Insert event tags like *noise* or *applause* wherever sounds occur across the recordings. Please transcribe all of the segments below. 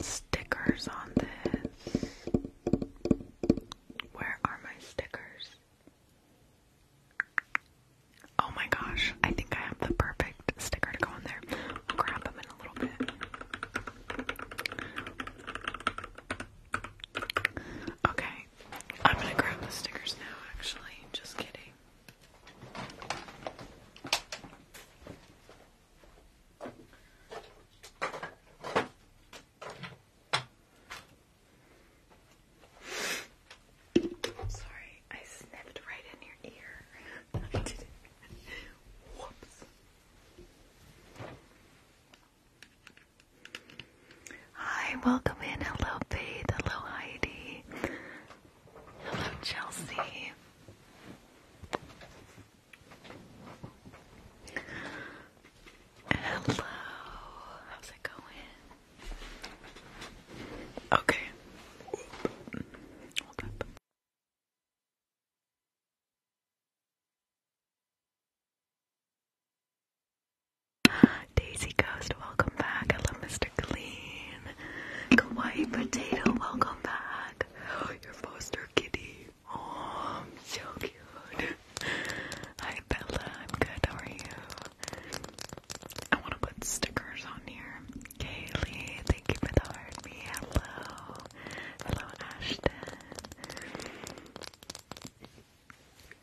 stickers on this. Where are my stickers? Oh my gosh, I think I have the perfect sticker to go on there. I'll grab them in a little bit. Okay, I'm gonna grab the stickers now, actually. Just kidding. Sorry, I snipped right in your ear. *laughs* I did it. Whoops. Hi, welcome in. Hello, Faith. Hello, Heidi. Hello, Chelsea. Hello, how's it going? Okay. Daisy Ghost, welcome back. Hello, Mr. Clean. Kawaii Potato, welcome back. *gasps* your foster kitty. Oh, so cute. *laughs* Hi Bella, I'm good. How are you? I want to put stickers on here. Kaylee, thank you for the heart. Me, hello. Hello, Ashton.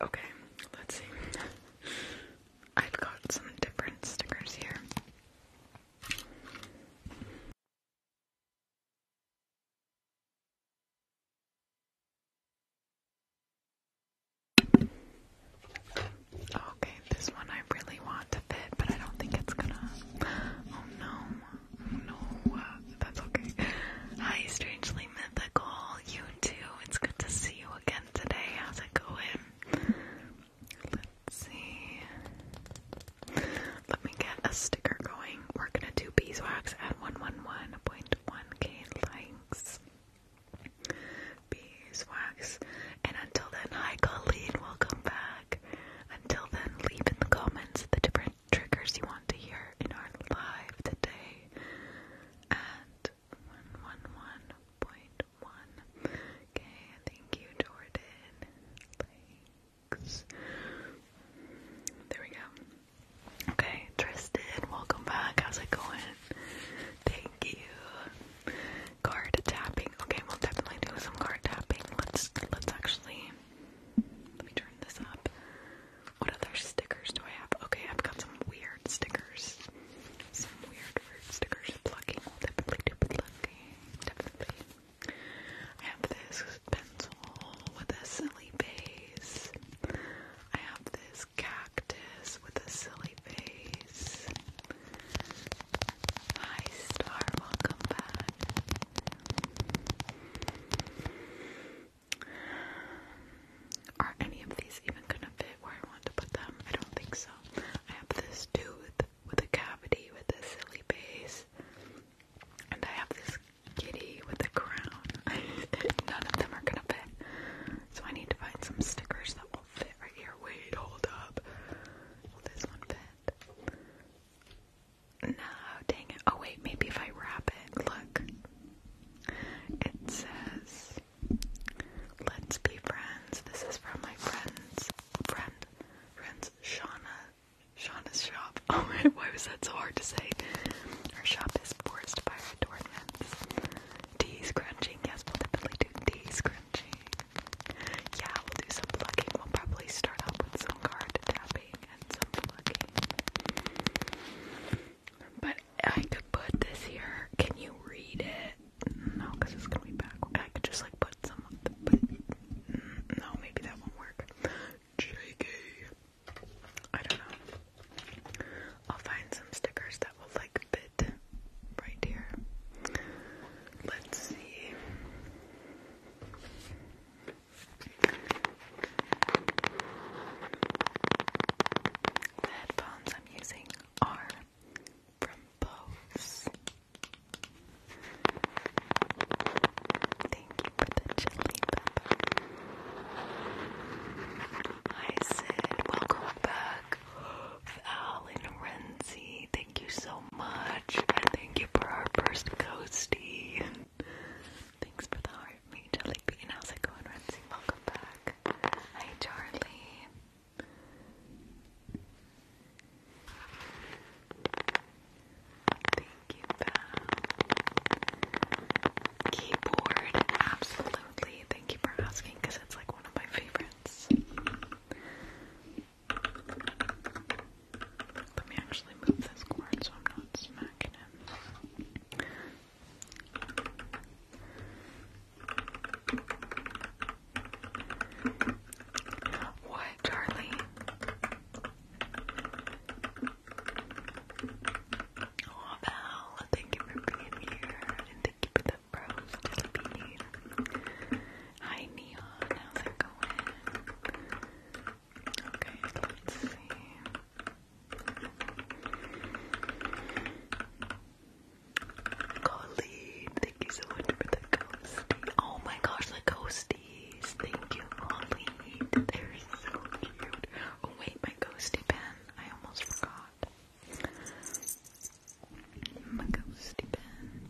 Okay, let's see. *laughs* I've got some different stickers here. Okay, this one I really want to fit, but I don't think it's gonna. Oh no, no, uh, that's okay. Hi, strangely mythical, you too. It's good to see you again today. How's it going? Let's see. Let me get a sticker going. We're gonna do beeswax at 111.1k likes. Beeswax. And until then, hi Colleen, welcome back. Until then, leave in the comments the different triggers you want to hear in our live today at 111.1k. Thank you, Jordan. Like, there we go. Okay, Tristan, welcome back. How's it going? Thank you. Card tapping. Okay, we'll definitely do some card tapping. Let's let's actually let me turn this up. What other stickers do I have? Okay, I've got some weird stickers. Some weird weird stickers. Plucking. definitely Definitely. I have this pencil with a silly face. I have this cactus with a silly face. Hi, Star, welcome back. Are any of these even gonna fit where I want to put them? I don't think so. I have this tooth with a cavity with a silly face. And I have this kitty with a crown. *laughs* None of them are gonna fit. So I need to find some stickers that will fit right here. Wait, hold up. Will this one fit? No, dang it. Oh wait, maybe if I wrap it. Look. It says Let's be friends. This is from my friends friend friends Shauna Shauna's shop. *laughs* Oh my, why was that so hard to say? Our shop is forced by her adornments. Tea's crunching. Yes, we'll definitely do tea's crunching. Yeah, we'll do some plugging. We'll probably start off with some card tapping and some plugging. But I could put this here. Can you read it? No, because it's gonna be backwards. I could just like put some put no, maybe that won't work. JK. I don't know. I'll find some stickers that will like fit right here. Let's see. The headphones I'm using are from Bose. Thank you for the chili pepper. I said, welcome back, Val Renzi. Thank you so much. And thank you for our first ghosty. Thanks for the heart, me, Jelly Bean. How's it going, Renzi? Welcome back. Hi, Charlie. Thank you, Keyboard, absolutely. Thank you for asking because it's like one of my favorites. Let me actually move this cord so I'm not smacking it. What, Charlie? Oh, Val, thank you for being here, and thank you for the rose, Hi, Neon, how's it going? Okay, let's see. Colleen, thank you so much for the ghosty. Oh my gosh, the ghosty these. Thank you, Oh wait, my ghosty pen. I almost forgot. My ghosty pen.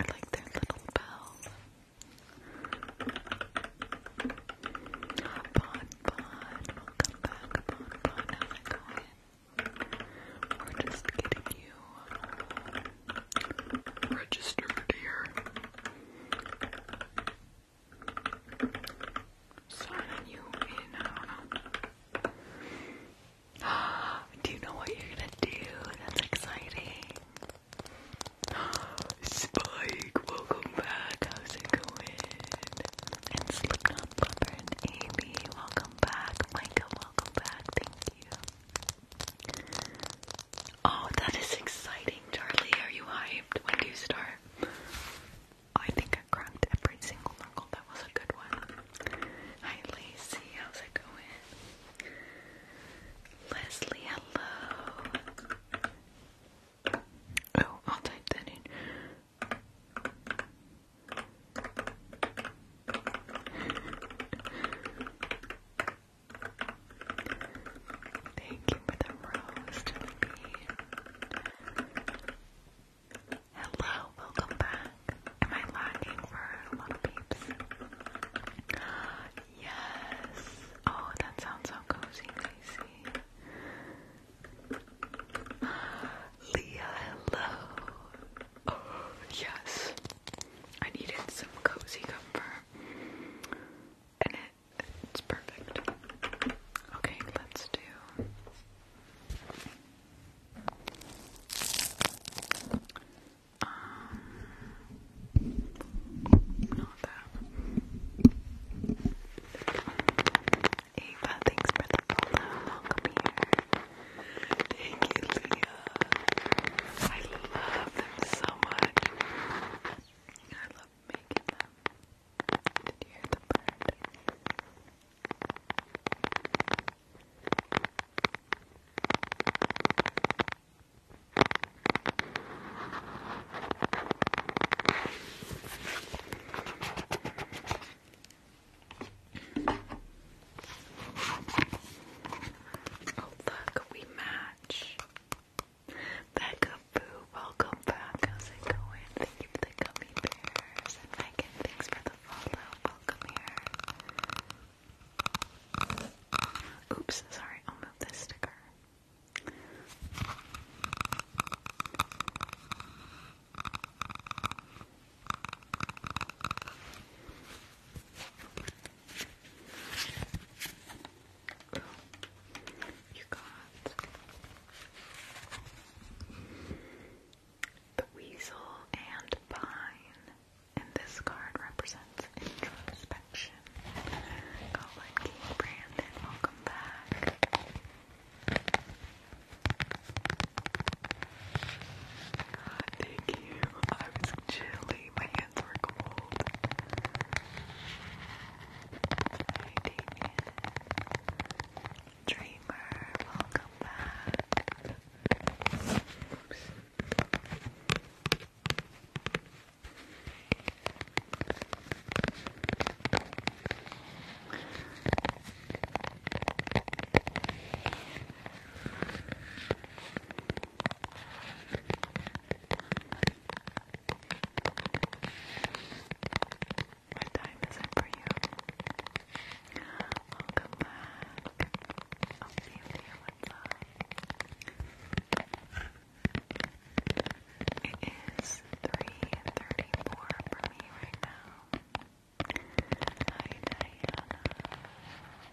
I like their little bell. Bon Bon, welcome back, Bon Bon. How's it going? We're just getting you registered here. Signing you in, I *gasps* do you know what you're gonna do? That's exciting. *gasps* Spike, welcome back. How's it going? And Slipknot Bumper and welcome back. Micah, welcome back. Oh, that is exciting, Charlie. Are you hyped? When do you start? I think I cramped every single knuckle. That was a good one. Hi, Lacey. How's it going? Leslie, hello. Oh, I'll type that in. Thank you for the rose, Hello, welcome back. Am I lagging for a lot of peeps? Yes. Oh, that sounds so cozy, Lacey. Leah, hello. Oh, yes. I needed some cozy comfort. And it, it's perfect. Okay, let's do. Um, not that. Ava, thanks for the follow. Welcome here. Thank you, Leah. I love them so much. I love making them. Did you hear the bird? Oh, look, we match. Becca Boo, welcome back. How's it going? Thank you for the gummy bears. Megan, thanks for the follow. Welcome here. Oops, sorry, I'll move this sticker you got the weasel and pine, and this card represents introspection. Colin King Brandon, welcome back. Thank you. I was chilly. My hands were cold. Dreamer, welcome back. What time is it for you? Welcome back. I'll see you there It is 3.34 for me right now. Hi Diana.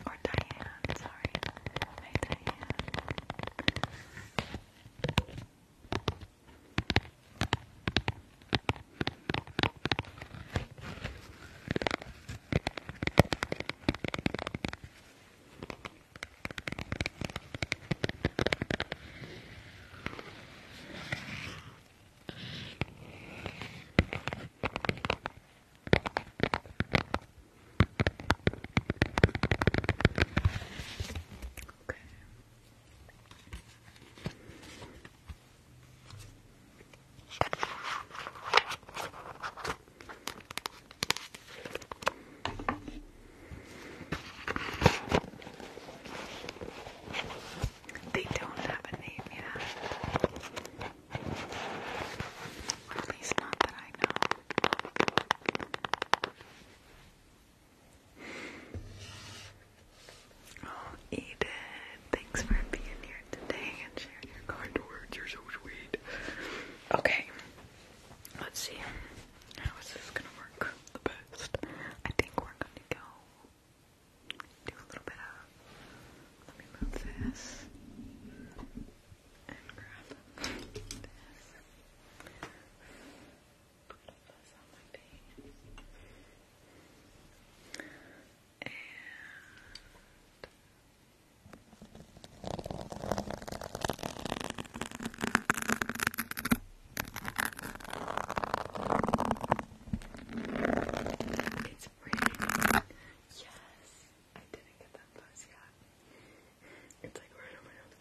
Or Diane, sorry. Okay. They don't have a name yet. At least not that I know. Oh, thanks for being here today and sharing your kind words. You're so sweet. Okay, let's see. How is this gonna work the best? I think we're gonna go do a little bit of. Let me move this and grab this. Put this on my page. And it's pretty. Yes! I didn't get that buzz yet. It's like right on my nose.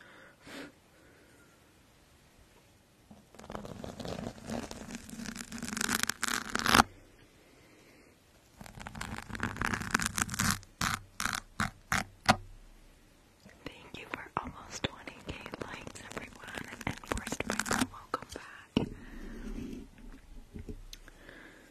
Thank you for almost 20k likes, everyone, and first of welcome back.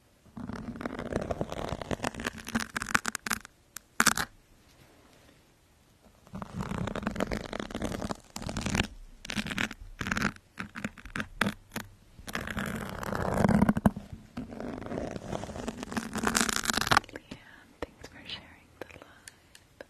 Leanne, thanks for sharing the live.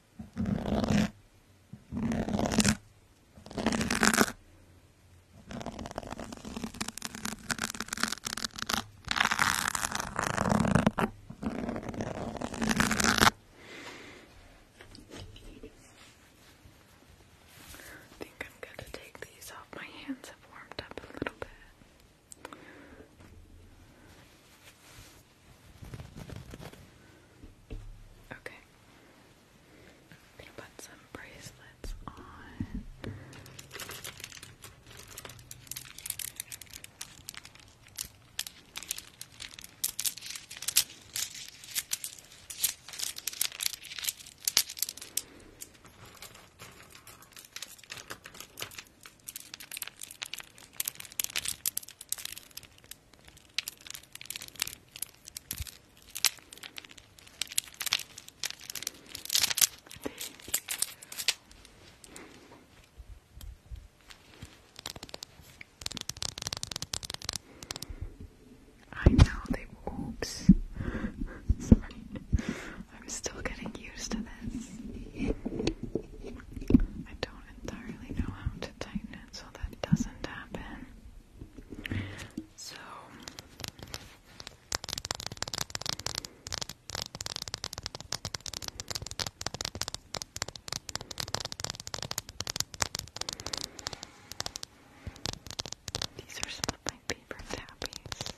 I think I'm going to take these off. My hands have warmed up a little bit. Okay, they put some bracelets on. I know they oops. *laughs* Sorry. I'm still getting used to this. I don't entirely know how to tighten it so that doesn't happen. So these are some of my favorite tappies.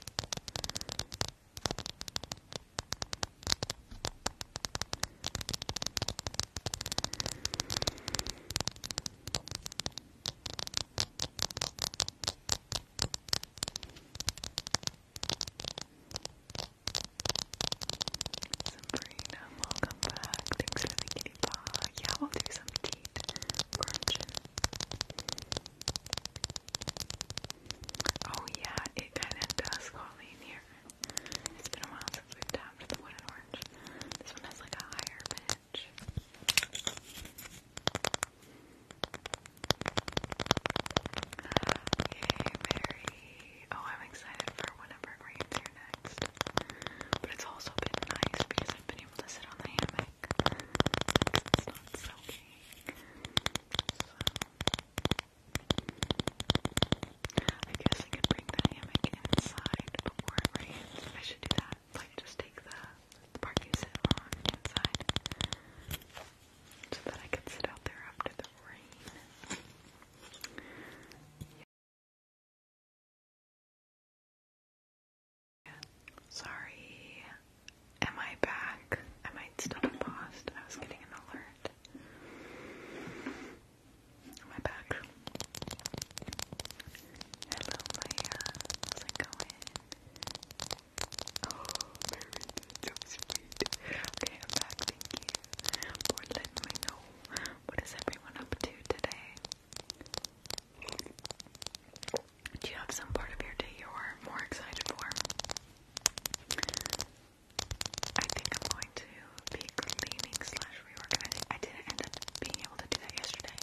Sabrina, welcome back. Thanks for the kitty paw. Yeah, we'll do some teeth crunching. Oh yeah, it kinda does fall in here. It's been a while since we've done this one has like a higher pitch. Yay, Mary. Oh, I'm excited for whenever it rains here next. But it's also been nice because I've been able to sit on the hammock. It's not soaking. I guess I could bring the hammock inside before it rains. I should do that. Like just take the, the you sit on inside. So that I could sit out there after the rain. Sorry. Am I back? I might still be paused. I was getting an alert my back. Hello, Maya. How's it going? Oh, very sweet. Okay, I'm back. Thank you for letting know. What is everyone up to today? Do you have some part of your day you're more excited for? I think I'm going to be cleaning slash reorganizing. I didn't end up being able to do that yesterday.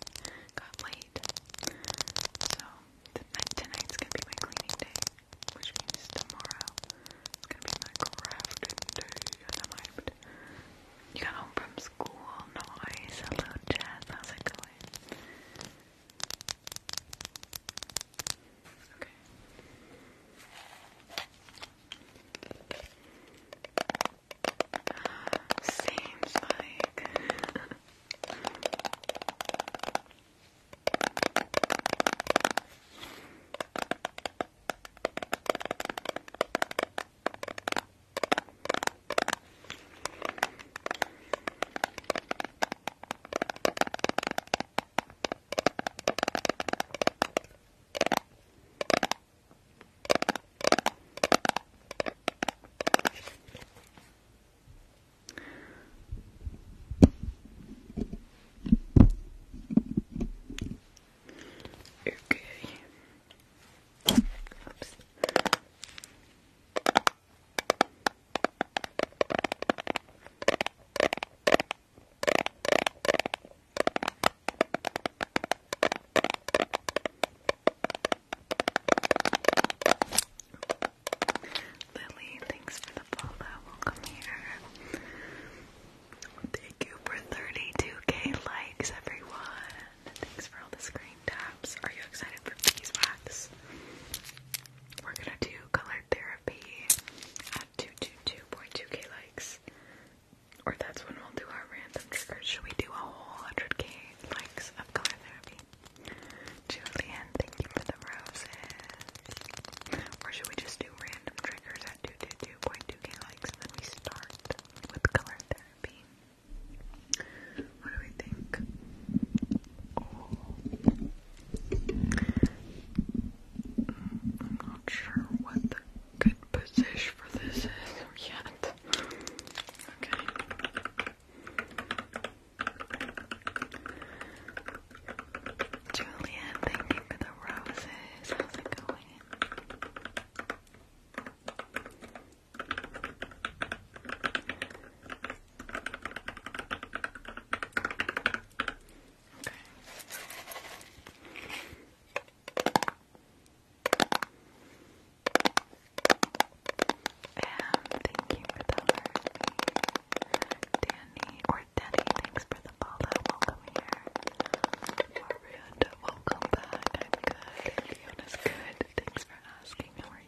Got late. So tonight, tonight's gonna be my cleaning day, which means tomorrow it's gonna be my crafting day. And I'm hyped. You got home from school, noise. Hello, Jess. How's it going? Okay. Seems like Okay. Oops. Lily, thanks for the follow. Welcome here. Thank you for 32k likes, everyone. Thanks for all the screen taps. Are you excited for beeswax? We're gonna do color therapy at 222.2k likes. Or that's when we'll do our random triggers. Should we do a whole 100k likes of color therapy? Julian, thank you for the roses. Or should we just do random triggers at 222.2k likes and then we start with color therapy? What do we think? Oh. I'm not sure what good position for this oh, yet. Okay. Julian, thank you for the roses. How's it going? And thank you for the heart. Danny or Danny, thanks for the Welcome here. welcome back. I'm good. good. Thanks for asking. How are you?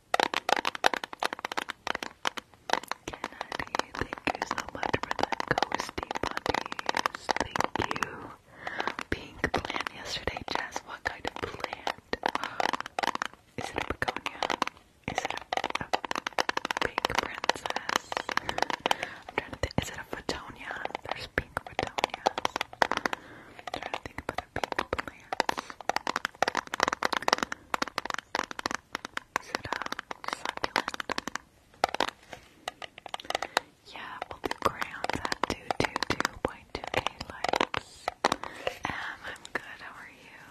Kennedy, thank you so much for the ghosty bunnies. Thank you. Pink plant yesterday, Jess. What kind of plant? Is it a begonia? Is it a, pink princess? *laughs* Is it a photonia? There's pink photonias. I'm trying to think of big Yeah, we crayons at 222.2k likes. I'm good, how are you?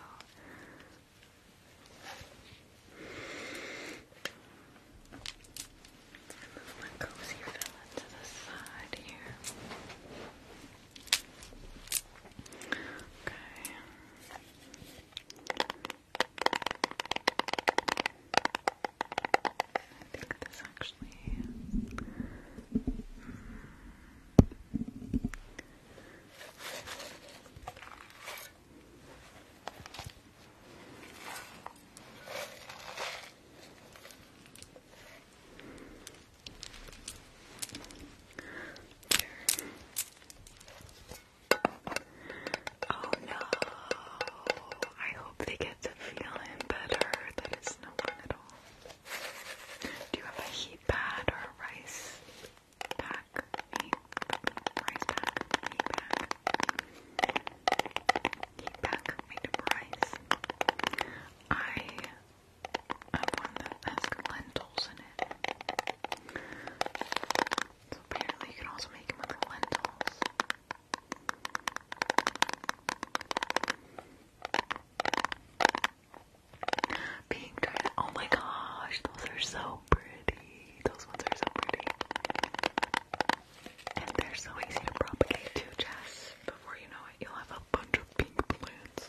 Move my cozy fella to the side here. Okay. I think this actually Oh no! I hope they get the feeling better. that it's not fun at all. Do you have a heat pad or a rice pack? rice pack, heat pack, heat pack made of rice. I I have one that lentils in it. So apparently you can also make them with lentils. Pink tart. Oh my gosh, those are so pretty. Those ones are so pretty. And they're so easy to propagate too, Jess. Before you know it, you'll have a bunch of pink balloons. Cute.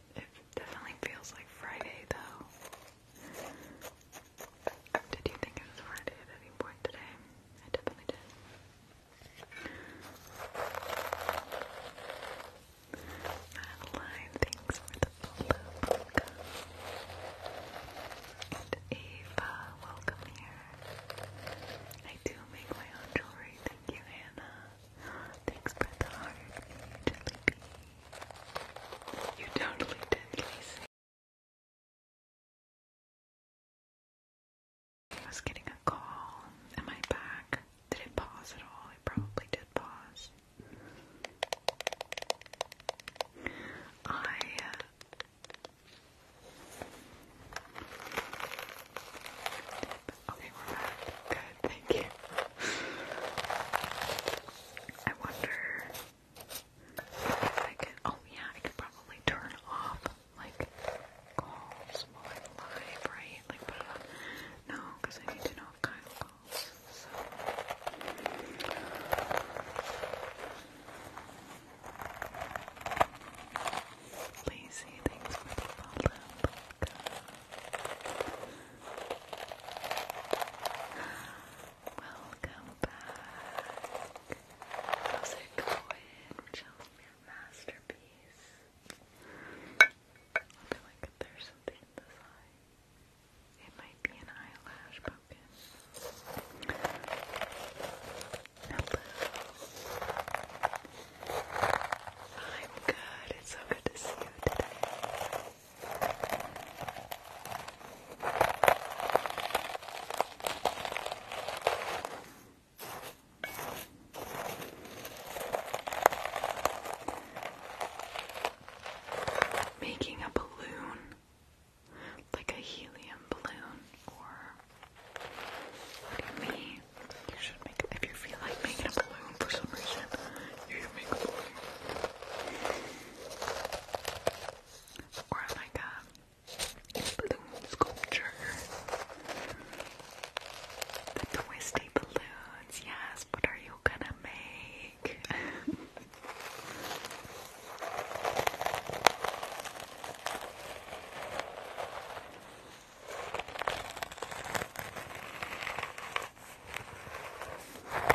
It definitely feels like Friday though. Did you think it was Friday at any point today? I definitely did. Madeline, thanks for the follow. And Ava, welcome here. I do make my own jewelry. Thank you, Hannah. Thanks for the heart, you jelly You totally did, Lacey. I was getting a call. Am I back? Did it pause at all? It probably did pause. I. Uh, okay, we're back. Good thank you. I wonder if I could. Oh, yeah, I could probably turn off like calls live, right? Like put it uh, on. No, because I need to know if Kyle calls. So. thanks for the follow. Welcome back. How's it going? we masterpiece. I feel like there's something in It might be an eyelash focus. Hello. I'm It's so good to see you today. Making a balloon, like a helium balloon, or look You should make if you feel like making a balloon for some reason make Or like a balloon sculpture. The twisty balloons, yes, what are you gonna make?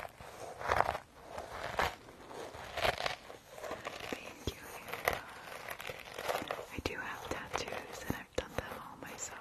Thank you, I do have tattoos and I've done them all myself.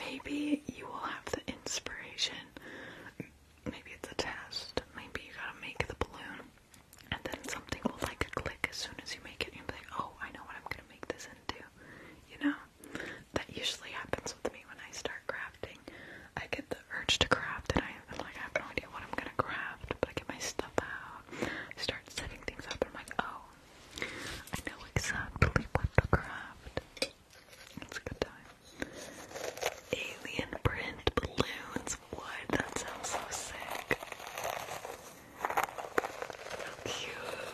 Maybe you will have the inspiration. Maybe it's a test. Maybe you gotta make the balloon. And then something will like click as soon as you make it. You'll be like, oh, I know what I'm gonna make this into. You know? That usually happens with me when I start crafting. I get the urge to craft and I and like I have no idea what I'm gonna craft, but I get my stuff out, start setting things up, and I'm like, oh, I know exactly what to craft. It's a good time. Alien print balloons, what? That sounds so sick. How cute.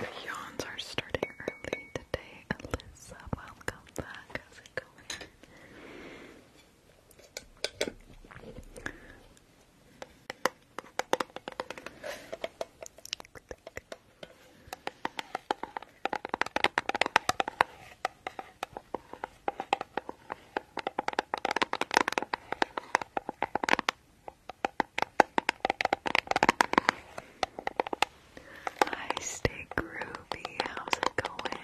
The yawns are starting early today. Alyssa, welcome back. How's it going? Hi, stay groovy. How's it going?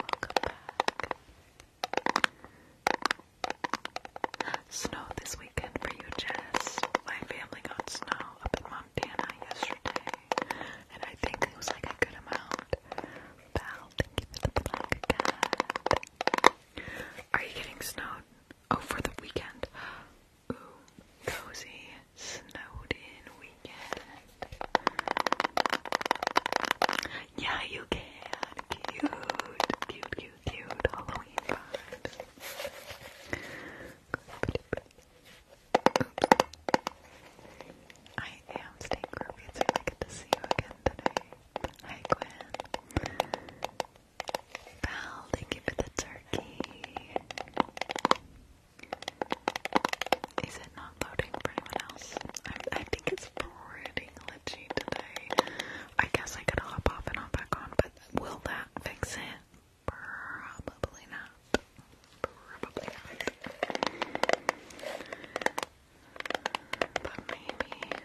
Welcome back. Snow this weekend for you, Jess. My family got snow up in Montana yesterday, and I think it was like a good amount. Val, thank you for the black are you getting snowed? Oh, for the weekend. Ooh, cozy, snowed in weekend. Yeah, you can. Cute, cute, cute, cute. Halloween vibes. I am staying groovy. It's I get to see you again today. Hi, Gwen. Pal, thank you for the turkey. Is it not loading for anyone else? I, I think it's pretty glitchy today. I guess I could hop off and hop back on, but will that fix it? Probably not. Probably not. But maybe.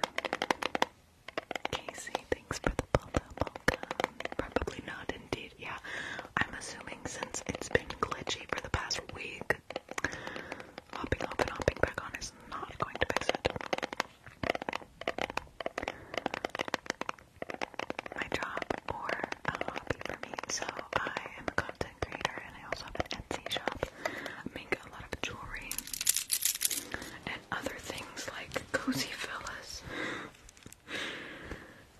Casey, thanks for the pop Probably not, indeed. Yeah, I'm assuming since it's been glitchy for the past week, hopping off and hopping back on is not going to fix it. My job or a hobby for me, so I am a content creator and I also have an Etsy shop. I like a lot of jewelry and other things like cozy fellas.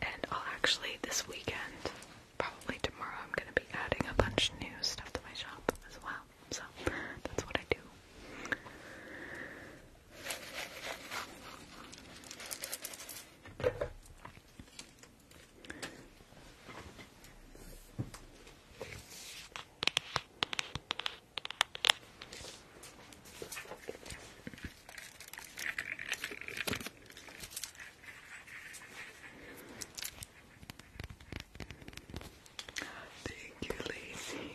And I'll actually this weekend, probably tomorrow, I'm gonna be adding a bunch of new stuff to my shop as well. So that's what I do. Thank you, Lacey.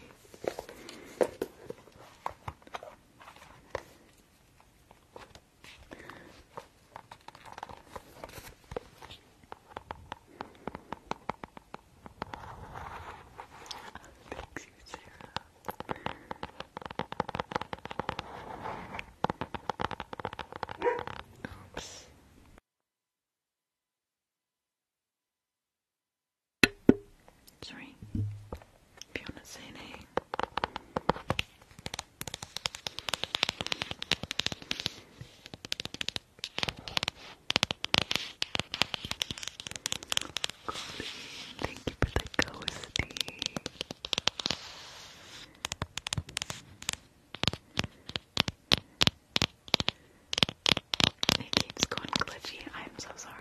Thanks, you, Sarah. Oops. Sorry. If say anything. Thank you for the ghosty. It keeps going glitchy. I'm so sorry.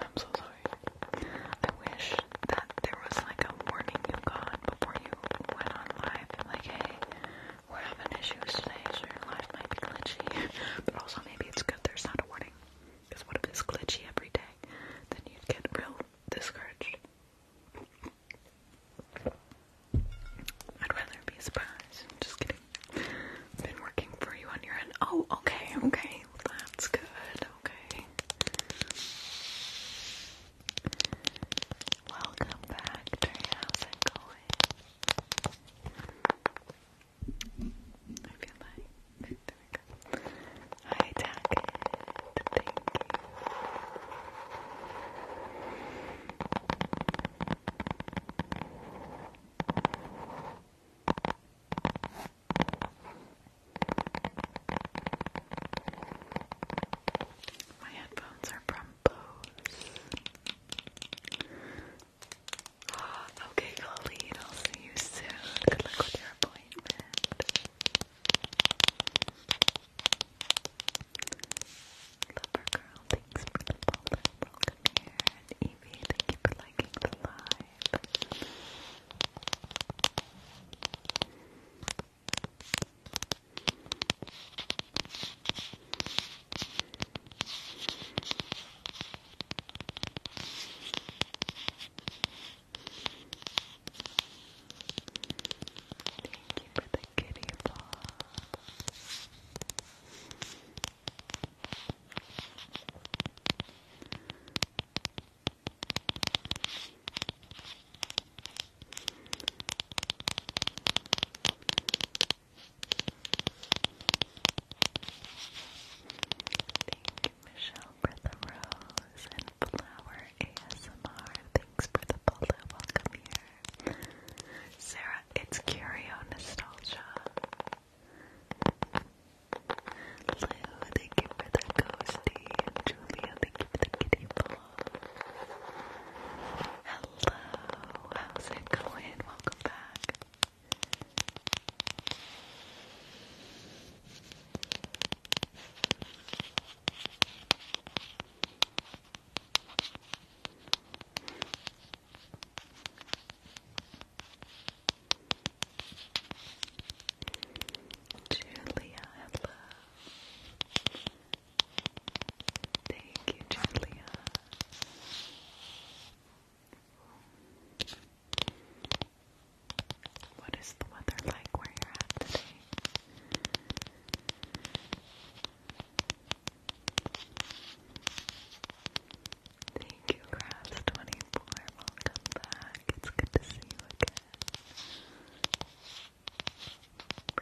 I'm so sorry. I wish that there was like a warning you got before you went on live. Like, hey, we're having issues today, so life might be glitchy. *laughs* But also, maybe it's good there's not a warning. Because what if it's glitchy every day? Then you'd get real discouraged. I'd rather be surprised. am just kidding. been working for you on your end. Oh, okay, okay. That's good. Okay. Welcome back, How's it going? I feel like there we go. Hi My headphones are from Oh, okay, Colleen, I'll see you soon. Good luck with your appointment. Lover girl, thanks for the follow. Welcome here. And Evie, thank you for liking the live. Thank you for the kitty bob. Thank you, Michelle, for the rose and flower ASMR. Thanks for the follow. Welcome here. Sarah, it's Curio Nostalgia. Lou, thank you for the ghosty. And thank you for the kitty ball. Hello, how's it going? Welcome back. Julia, hello. Thank you, Julia. What is the weather like where you're at today? Thank you, Crafts24. Welcome back. It's good to see you again.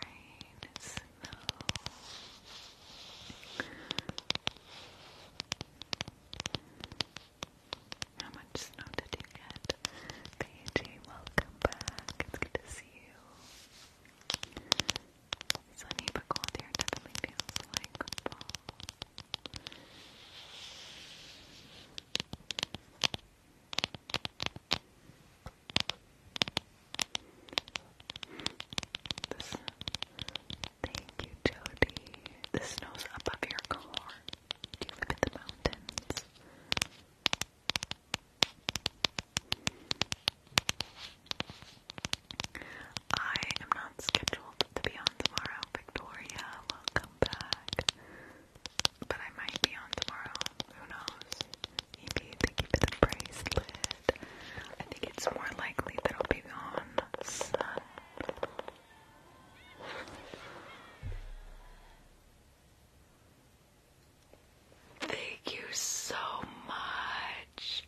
Rain is how much snow did you get? KJ, welcome back. It's good to see you. Sunny but cold here definitely feels like thank you, Jody. The snow's above your car. you live the mountains? I am not scheduled to be on tomorrow, Victoria. Welcome back. But I might be on tomorrow. Who knows? thank you for the bracelet. I think it's more likely that will be gone. Thank you so much.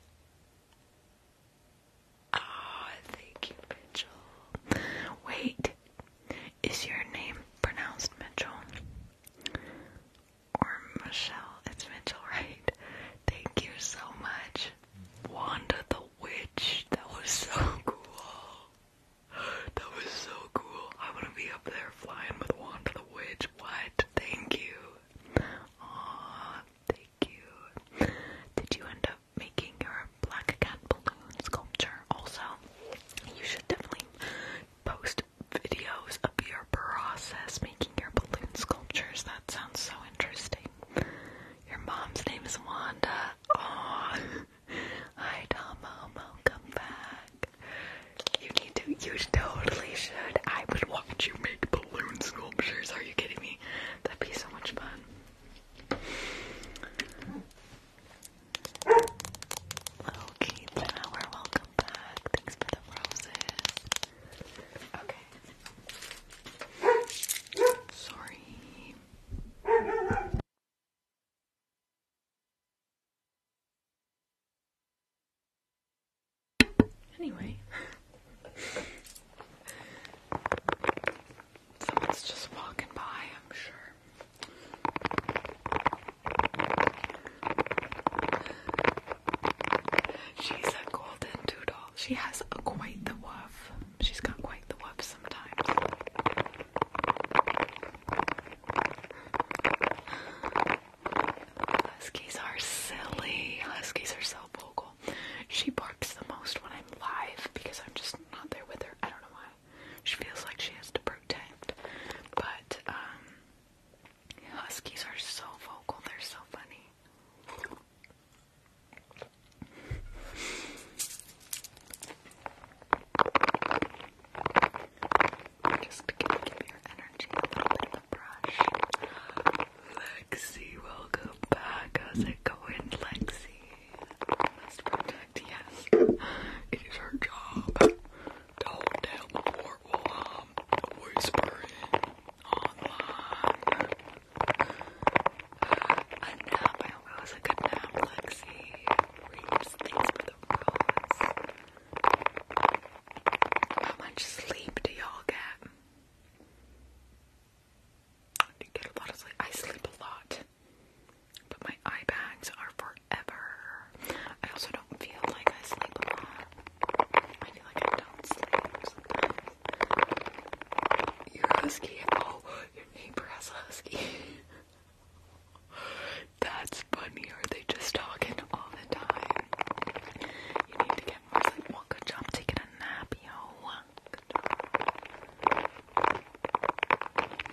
Oh, thank you, Mitchell. Wait, is your name pronounced Mitchell? or Michelle, it's Mitchell, right? Thank you so much. Wanda the Witch, that was so cool. That was so cool. I want to be up there flying with Wanda the Witch. What? Thank you. Aw, thank you. Did you end up making your black cat balloon sculpture also? You should definitely post videos of your process making your balloon sculptures. That sounds so interesting. Your mom's name is Wanda. Aw. *laughs* Hi, Tomo. Welcome back. You need to, you totally should. I would watch you make balloon sculptures. Are you kidding me? That'd be so much fun. Hello, Kate Tower. Welcome back. Thanks for the roses. Okay. Sorry. Anyway, someone's just walking by, I'm sure. She's a golden doodle. She has quite the woof. She's got quite the woof sometimes. Huskies are silly. Huskies are so vocal. She barks the most when I'm live because I'm just not there with her. I don't know why. She feels like she has to protect. But um Huskies are so vocal. They're so funny. Just give, give your energy a Lexi, welcome back. How's it going, Lexi? Must protect, yes. It is her job. Don't tell the poor um, whisper it all along. A nap, I hope it a good nap, Lexi. Reaps, thanks for the rose. How much sleep do y'all get? you get a lot of sleep? I sleep a lot. But my eye bags are forever. I also don't feel like I sleep a lot. I feel husky. Oh, your neighbor has a husky. *laughs* That's funny. Are they just talking all the time? You need to get more sleep. Well, good job taking a nap, yo. Good job.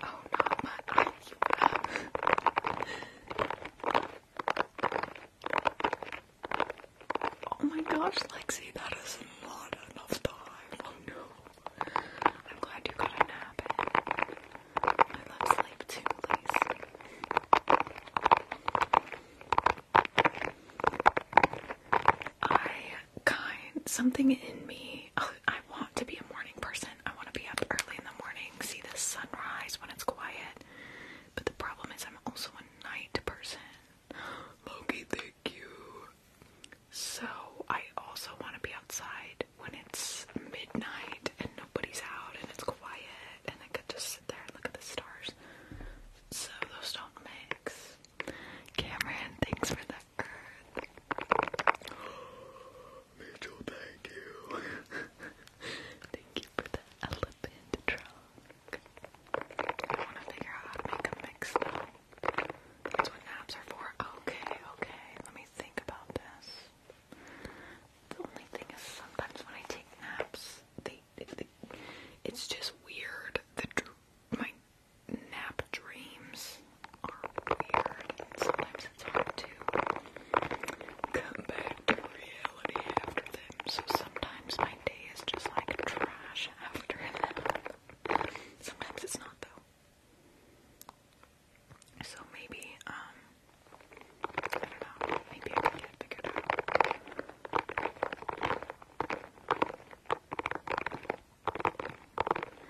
Oh, not much. *laughs* I *laughs* Oh my gosh, Lexi, that is not enough time. Oh no. I'm glad you got a nap in. I love sleep too, please. I kind something in me. Oh, I want to be a morning person. I want to be up early in the morning, see the sunrise when it's quiet. But the problem is, I'm also a night person. Loki, thank you. So, I also want to be outside when it's midnight and nobody's out and it's quiet and I could just sit there and look at the stars. So, those don't mix. Cameron, thanks for the *gasps* Mitchell, thank you. *laughs* thank you for the I want to figure out make a mix That's what apps are for. Okay, okay. Let me think about this. The only thing is sometimes when I take naps, it's just weird. The my nap dreams are weird. Sometimes it's hard to come back to reality after them, so sometimes my day is just like trash after *laughs* them. Sometimes it's not though. So maybe, um, I don't know, maybe I can get it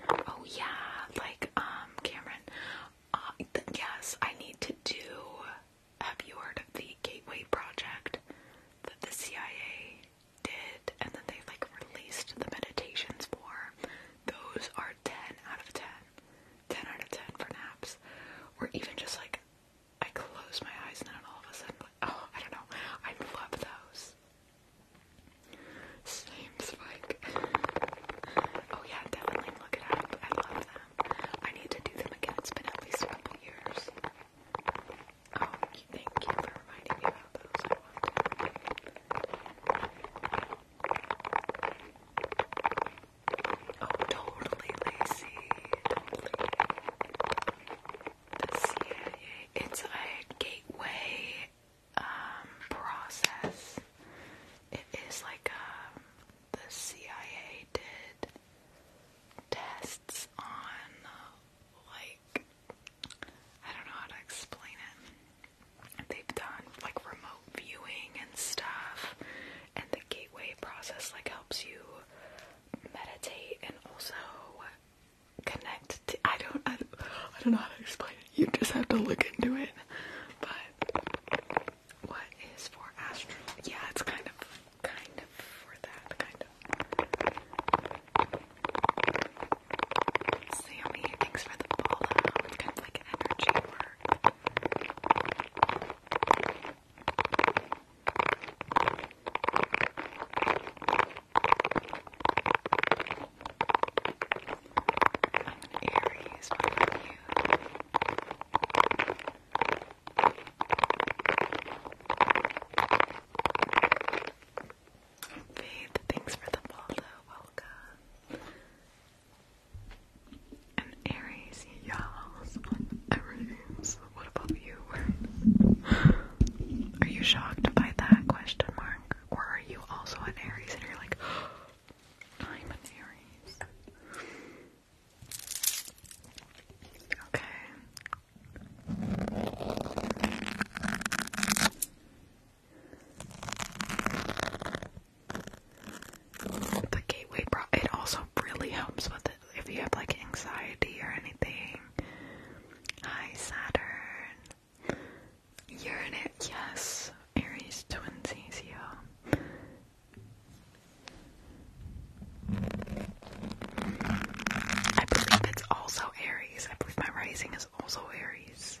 out. Oh yeah, like, um, Cameron, uh, yes, I need to do have you heard of the Gateway Project that the CIA did and then they like released the meditations for? Those are 10 out of 10. 10 out of 10 for naps. Or even just like I close my eyes and then all of a sudden, like, oh, I don't know. I love those. Same spike. Oh yeah, definitely look it up. I love them. I need to do them again. It's been at least a couple years. Oh, thank you for reminding me about those. I want to. Oh, totally lazy. The CIA. It's a gateway um, process. It is like um, the CIA did tests on like I don't know how to explain it. They've done like remote viewing and stuff, and the gateway process like helps you meditate and also connect to I don't I, don't know how to explain it. You just have to look into it. But what is for astral? Yeah, it's kind of kind of for that, kind of. Sammy, thanks for the ball out. It's kind of like energy work. I'm Aries, what you? Faith, thanks for the follow. Welcome. And Aries, y'all's everything's. What about you? are you shocked by that question mark? Or are you also an Aries and you're like, *gasps* I'm an Aries? Okay, the gateway pro it also really helps with it if you have like anxiety or anything. Hi Saturn. you yes. Aries twinsies, yeah. I believe it's also Aries. I believe my rising is also Aries.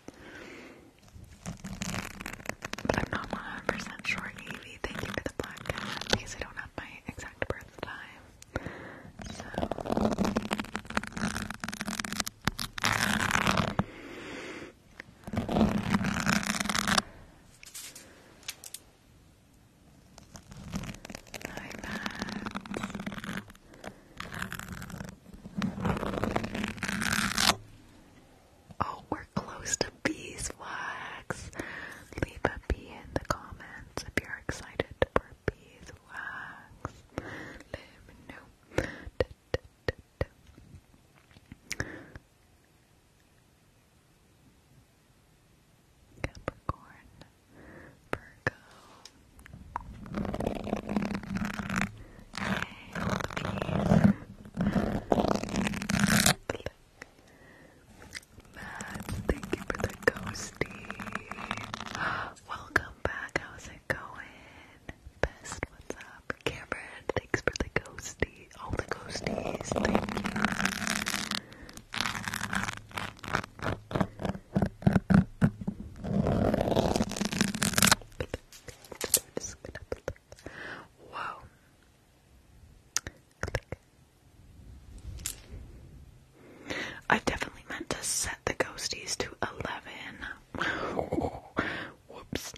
But I'm not 100% sure, Evie. Thank you for the black cat because I don't have my exact birth time. So. Oh, we're close to beeswax. Leave a bee in the comments if you're excited for beeswax. Let me know. Capricorn, Virgo. Okay, Matt, thank you for the ghosty. *gasps* Welcome back. How's it going? Best, what's up? Cameron, thanks for the ghosty. All the ghosties, thank you. Whoa. I definitely meant to set the ghosties to 11. *laughs* Whoops.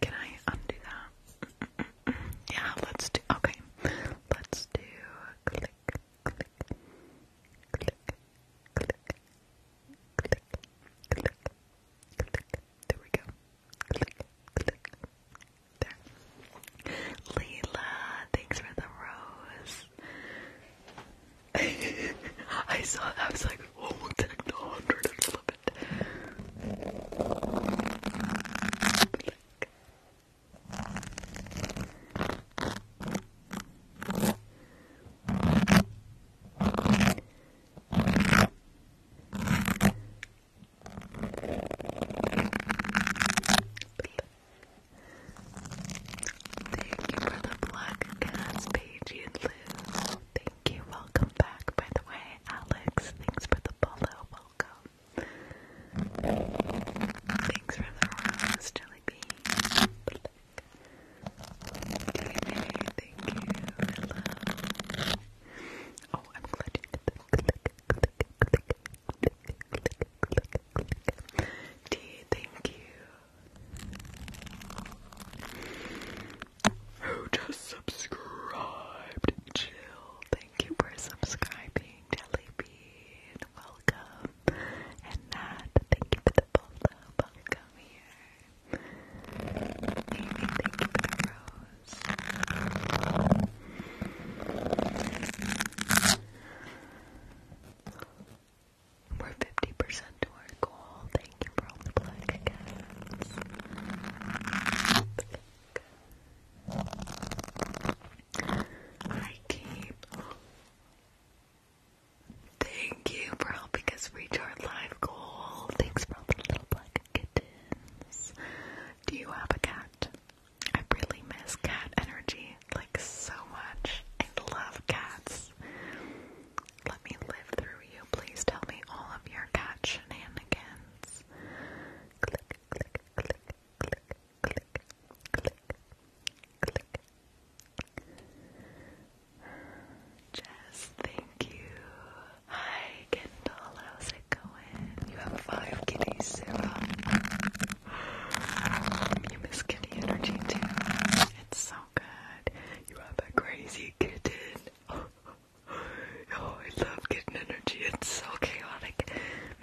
Can I undo that? yeah, let's do. Okay. Let's do. There we go. There. thanks for the rose. I saw that. I was like, oh, we Thank you for the black cats, Paige and Lou. Thank you. Welcome back, by the way, Alex. Thanks for the follow. Welcome. Thanks for the rose, Jelly thank you. Hello. Oh, I'm glad you did that. D, thank you. Who just subscribed? Jill, thank you for subscribing. Jelly welcome and Nat, uh, thank you for the follow. Welcome here. thank you for the rose. We're 50% to our goal. Thank you for all the plug again. I keep. Thank you for helping us reach our live goal. Thanks for all the little black kittens. Do you have a cat? I really miss cat energy, like so much. I love cats. Let me live through you. Please tell me all of your cat shenanigans click, click, click. Jess, thank you. Hi, Kendall, how's it going? You have five kitties, Sarah. You miss kitty energy too. It's so good. You have a crazy kitten. *laughs* Oh, I love kitten energy. It's so chaotic.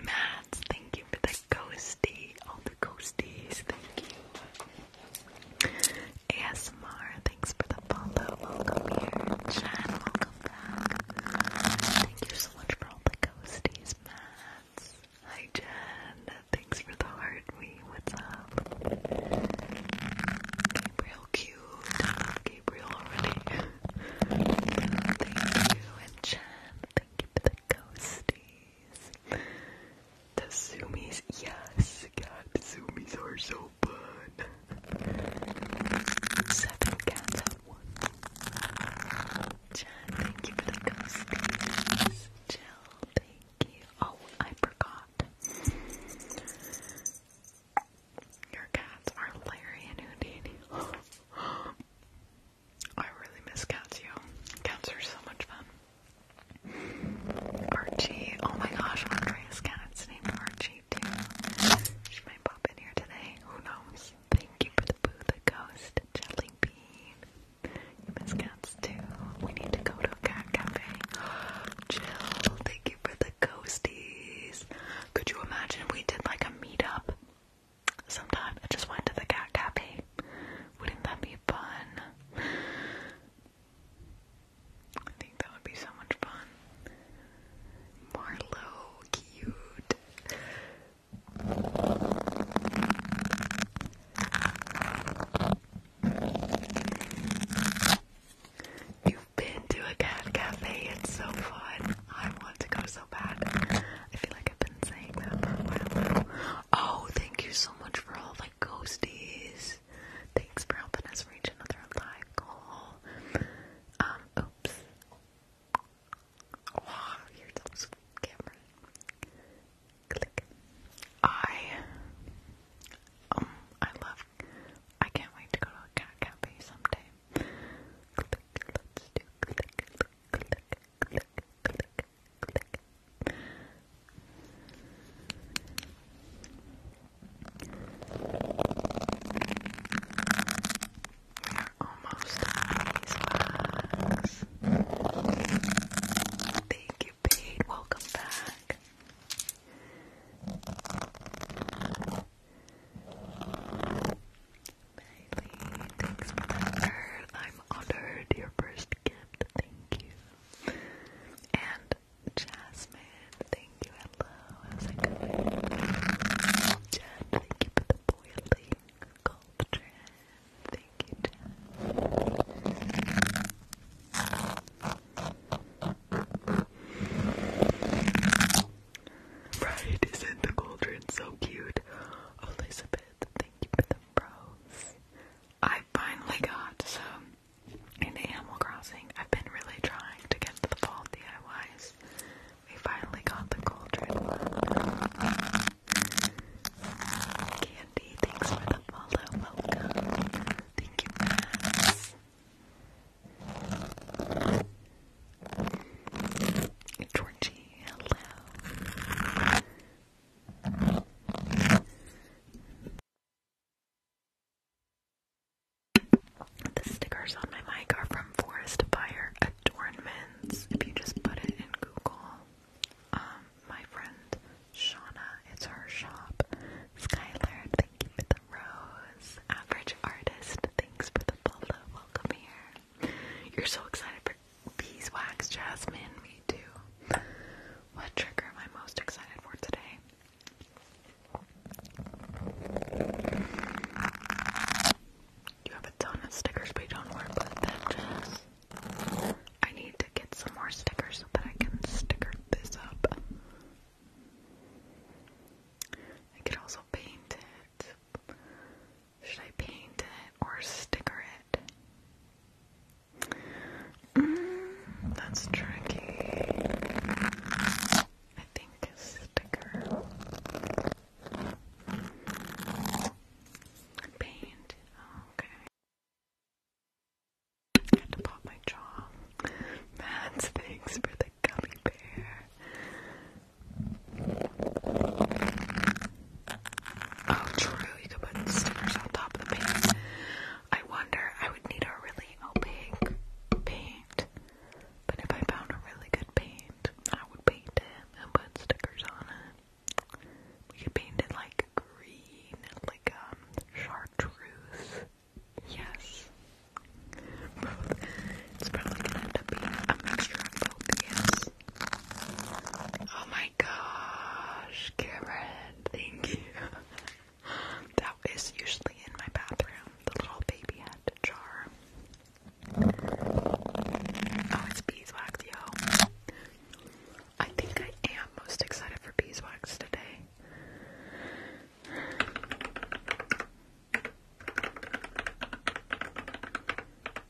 Mads, thank you for the ghosty all the ghosties, thank you. ASMR, thanks for the follow. Welcome here. Jen, welcome back. Thank you so much for all the ghosties, Mats. Hi Jen, thanks for the heart me. What's Gabriel cute. Gabriel already. thank you and Jen, thank you for the ghosties. The zoomies, yes, God, the zoomies are so fun. Seven cats at once. Jen, thank you for the ghosties. Jill, thank you. I forgot. Your cats are Larry and Houdini. I really miss cats, You Cats are so much fun. Archie, oh my gosh, Andrea's cat's named Archie too. She might pop in here today, who knows? Thank you for the boo, the ghost, jelly bean. You miss cats too. We need to go to a cat cafe. *gasps* Jill, thank you for the ghosties. Could you imagine if we did like a meetup Sometimes I just went to the cat cafe. Wouldn't that be fun? I think that would be so much fun. Marlowe, cute. You've been to a cat cafe, it's so fun. I want to go so bad. I feel like I've been saying that for a while now. Oh, thank you so much for all my ghosties. Thanks for helping us reach another live goal. Um, oops. Oh, you're so camera. Click. I um I love I can't wait to go to a cat cafe someday. Click, let click, click, click, click, click, we're almost at these Thank you, Pete. Welcome back thanks for the bird. I'm honored. Your first gift. Thank you. And Jasmine, thank you. Hello. How's it going? Jen, thank you for the boiling culture. Thank you, Right, isn't the cauldron so cute? Oh, Elizabeth, Thank you for the bros. I finally got some in Animal Crossing. I've been really trying to get the fall DIYs. We finally got the cauldron Candy, thanks for the follow. Welcome. Thank you, Max. Georgie, hello. The stickers on my mic are from Forest Fire Adornments. If you just put it in Google, um, my friend Shauna, it's her shop. Skylar, thank you for the rose. Average artist, thanks for the follow. Welcome here. You're so excited for beeswax, Jasmine. Me too. What trigger am I most excited for today? You have a ton of stickers, but you don't work with them, Jess. I need to get some more stickers so that I can sticker this up. I could also paint it. Should I paint it or sticker it? Mm, that's tricky. I think sticker. Paint. Okay. had to pop my jaw. Mads, thanks for the gummy bear. Oh, true. You could put stickers on top of the paint. I wonder. I would need a really opaque oh, paint. But if I found a really good paint, I would paint it and put stickers on it. We could paint it like green, like um, chartreuse. Yes. It's probably gonna end up being a mixture of both, yes. Oh my my gosh, Cameron, thank you. *laughs* that is usually in my bathroom, the little baby hat jar. Oh, it's beeswax, yo. I think I am most excited for beeswax today.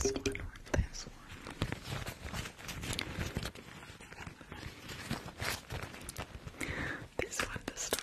This one or this one. This one to start.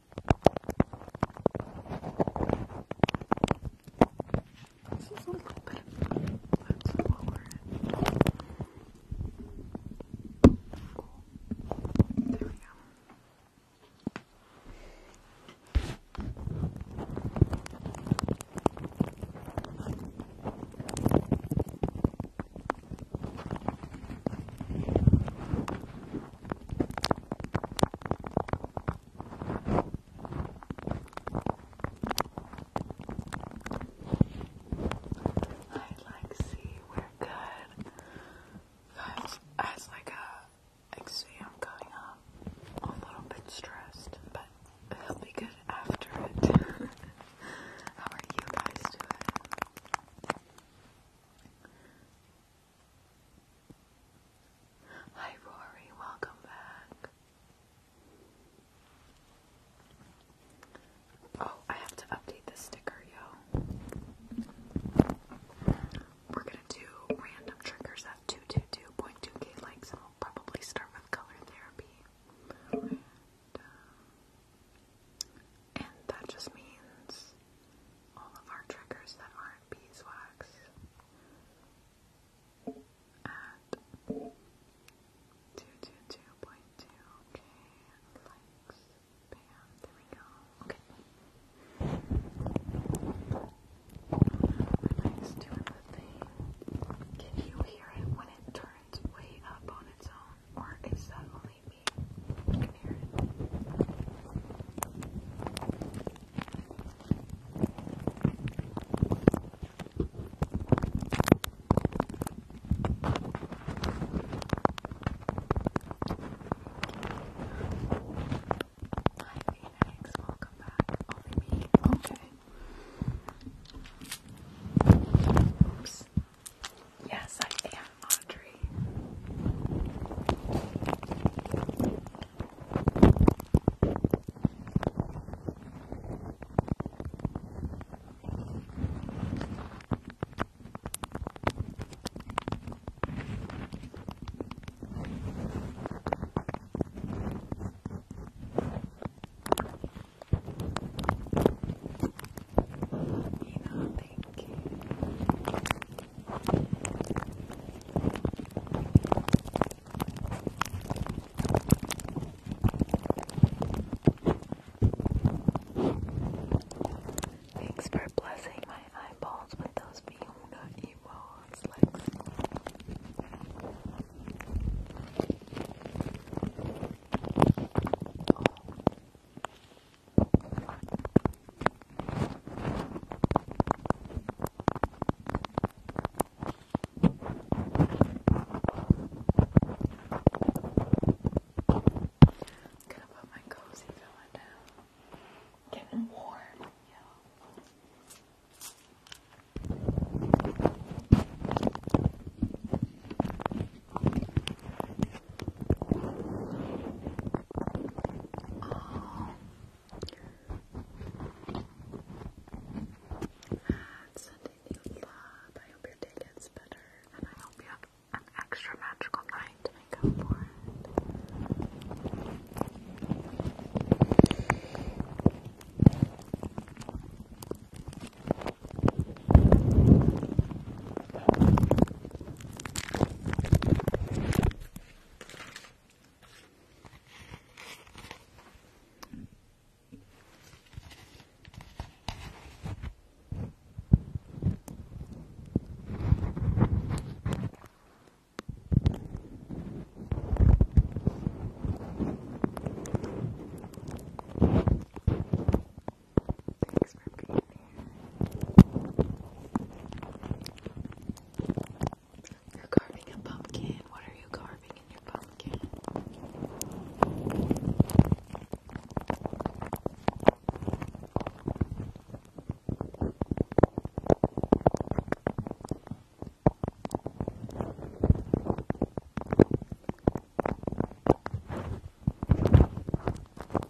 This is a little bit let's lower it. There we go i like to see we're good. Guys, as like a exam coming up, a little bit stressed, but it'll be good after it. *laughs* How are you guys doing? Hi Rory, welcome back. Oh, I have to update the sticker, yo. We're gonna do random triggers at 222.2k likes, and we'll probably start with color therapy. and uh, that just means all of our triggers that aren't beeswax. At 222.2k likes. Bam, there we go. Okay. When I was doing the thing, can you hear it when it turns way up on its own? Or is that only Hi, Phoenix. Welcome back. Okay. Oops. Yes, I am. Audrey, You know, thank Thanks for blessing my eyeballs with those Fiona emotes, Lex gonna put my cozy filling down. Getting warm, yeah. Oh, and sending you I hope your day gets better. And I hope you have an extra magical night to make up for it. Thanks for being you're carving a pumpkin. What are you carving in your pumpkin?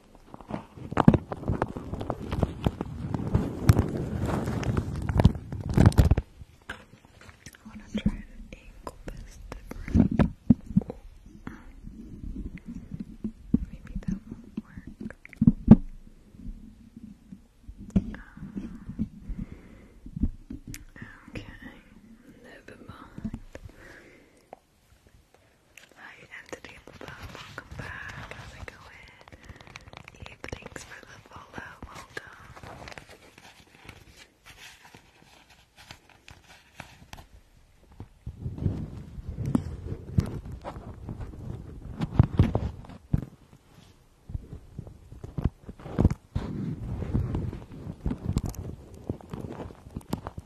I want to try the ankle best different. Maybe that will work. Um, okay, never mind. Hi, Entity Welcome back. How's it going? Eve, thanks for the follow. Welcome.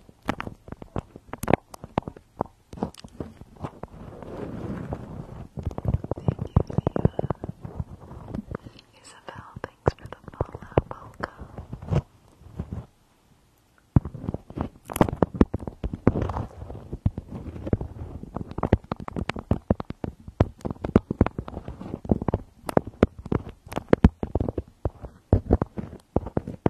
Leah. Isabel, thanks for the follow. Welcome. Alex,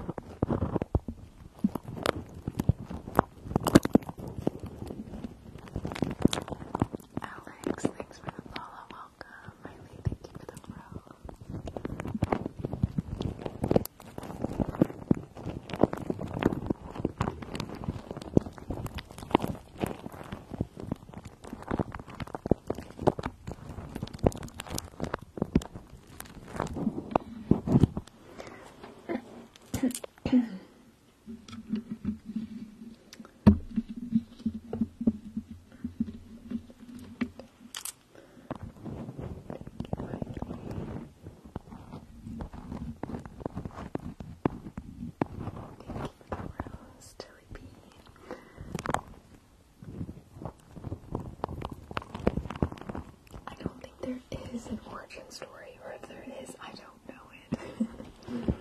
thanks for the follow. Welcome. Miley, thank you for the follow. Thank you for the rose, Tilly P. I don't think there is an origin story, or if there is, I don't know it.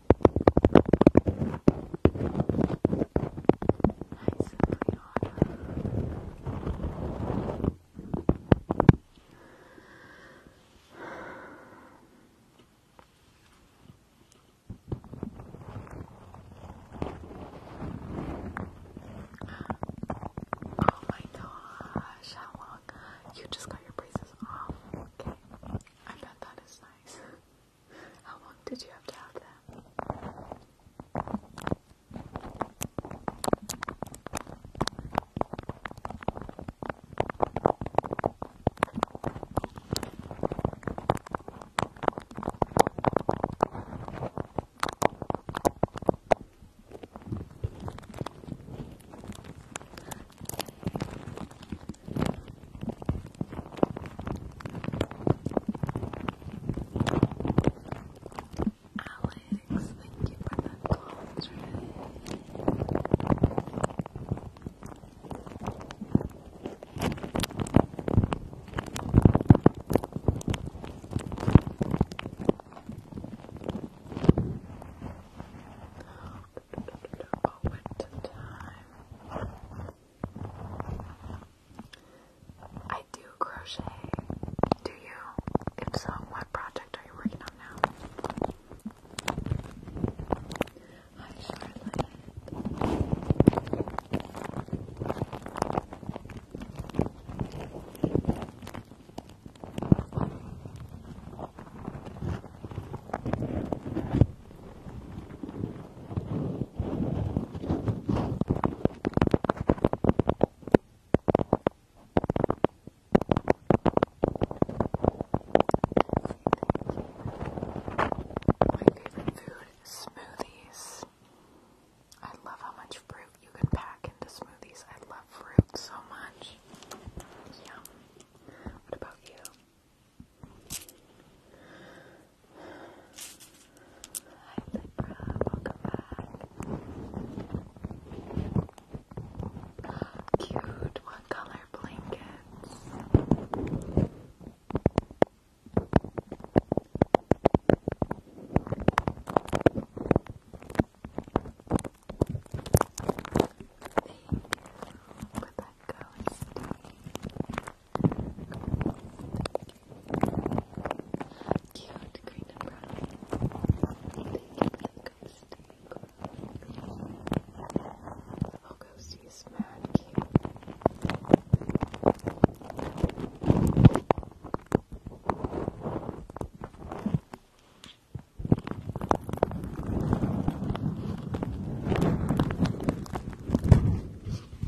Nice and pretty Oh my gosh, how long? You just got your braces off. Okay. I bet that is nice. How long did you have to have that? Alex, thank you for that contract. Oh, what time? I do crochet. Do you? If so, what project are you working on now? Hi, Charlotte. My favorite food is smoothies. I love how much fruit you can pack into smoothies. I love fruit so much. Yum. What about you? Hi, Libra. Welcome back. Cute one color blankets. Thank you ghosty. Cute green and brown. Thank you for the ghosty. Oh, ghosty is mad cute.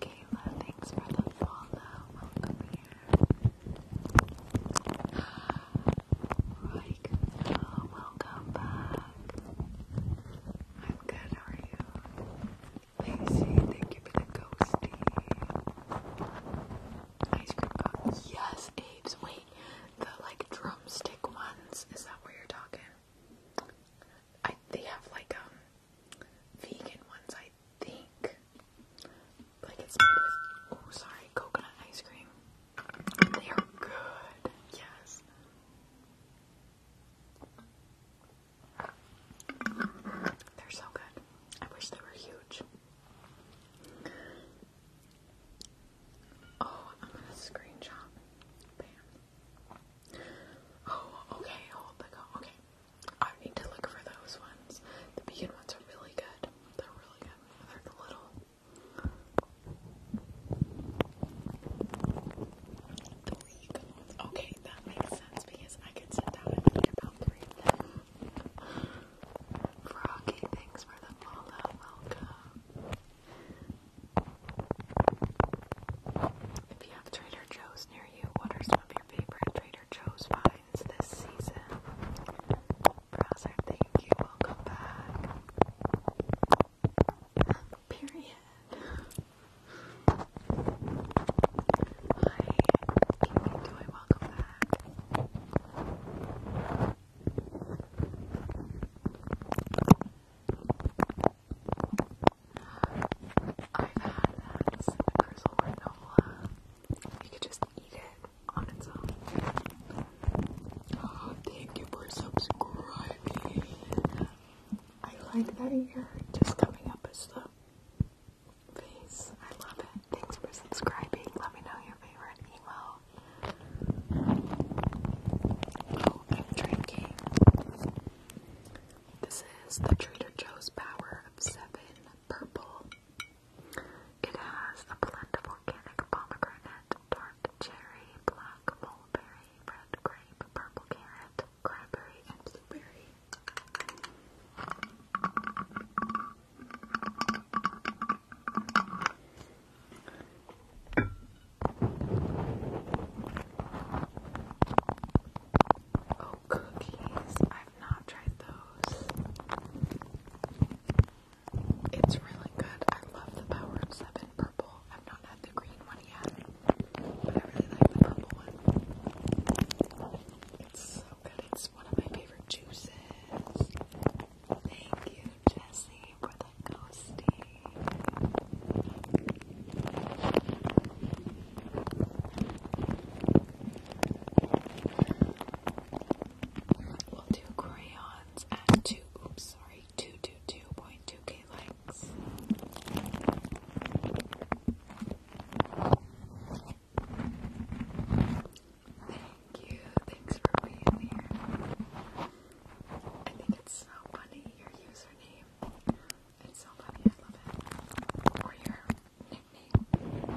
Kayla, thanks for the follow. Welcome here. Like, welcome back. I'm good, how are you? Lacey, thank you for the ghosty. Ice cream cones. Yes, Abe's. Wait, the like drumstick ones. Is that where you're talking? I they have like um vegan ones, I think. Like it's made with oh sorry, coconut ice cream. They are good, yes. They're so good. I wish they were huge. Oh, I'm gonna screenshot. Bam. Oh, okay, hold the go. Okay. I need to look for those ones. The vegan ones are really good. They're really good. They're little. Okay, that makes sense because I can sit down and eat about three of them. Froggy, thanks for the follow. Welcome. If you have Trader Joe's near you, what are some of your favorite Trader Joe's finds this season? Browser, thank you, welcome back. Period. Hi, Kimmy Joy, welcome back. I've had that cinnamon drizzle granola. You could just eat it on its own. Oh, thank you for subscribing. I like that you're just coming up as the face. I love it. Thanks for subscribing. Let me know your favorite email. Oh, I'm drinking. This is the Trader Joe's Power of Seven Purple. It has a blend of volcanic pomegranate, tart cherry, black mulberry, red grape, purple carrot, cranberry, and blueberry. Oh, cookies. I've not tried those. It's really good. I love the Power of Seven purple. I've not had the green one yet, but I really like the purple one. It's so good. It's one of my favorite juices. Thank you, Jesse, for the ghosty. We'll do crayons and two. Oops, sorry. 222.2k likes. Thank you. Thanks for being here. I think it's so funny, your username. It's so funny, I love it. Or your nickname.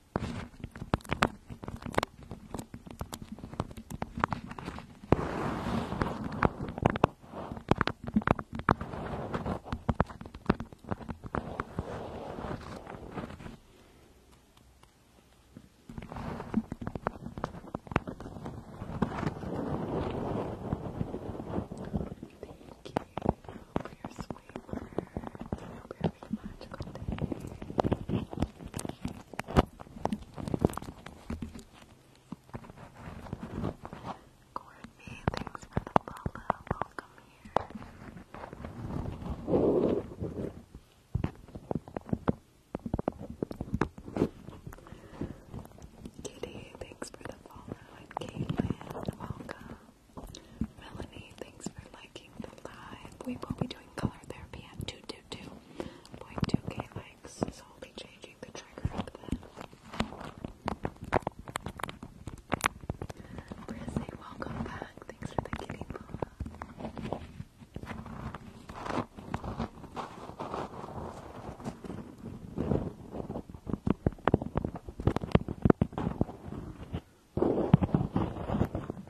Thank your sweet word. I hope you're having Courtney, thanks for the follow. Welcome here. Kitty, thanks for the follow. Caitlin, welcome. Melanie, thanks for liking the live. We will be doing color therapy at 2 2. 2.2k likes, so I'll be changing the trigger up there. Brizzy, welcome back. Thanks for the kitty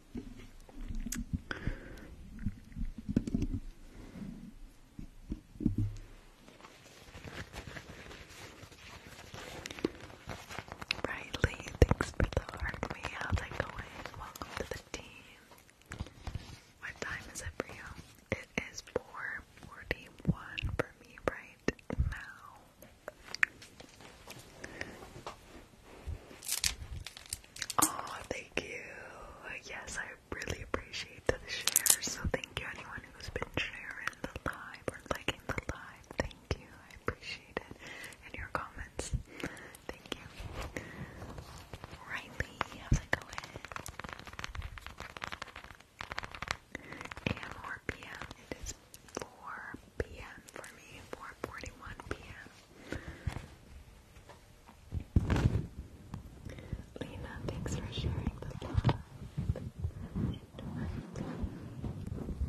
Riley, thanks for the heart me. How's it going? Welcome to the team. What time is it for you? It is 4.41 for me right now. Oh, thank you. Yes, I really appreciate the share. So thank you anyone who's been sharing the live or liking the live. Thank you. I appreciate it. And your comments. Thank you. Riley, how's it going? AM or PM? It is 4 p.m. for me, 4:41 p.m. Lena, thanks for sharing the love.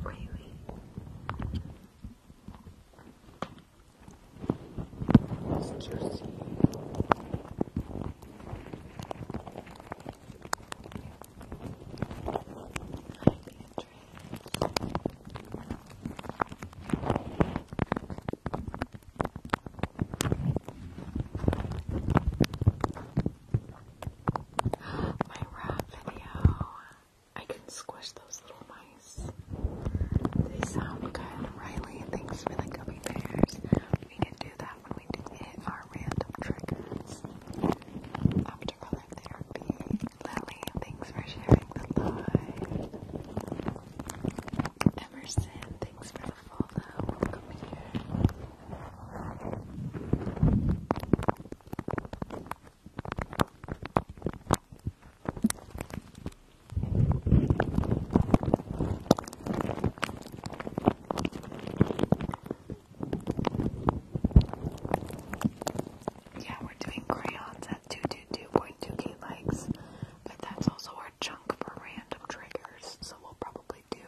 Really? It's juicy. I my rat video. I can squish those little mice. They sound good. Riley, thanks for the gummy bears. We can do that when we do our random triggers. Therapy. Lily, thanks for sharing the live. Emerson, thanks for the follow. Welcome here. Yeah, we're doing crayons at 222.2k likes, but that's also our chunk for random triggers, so we'll probably do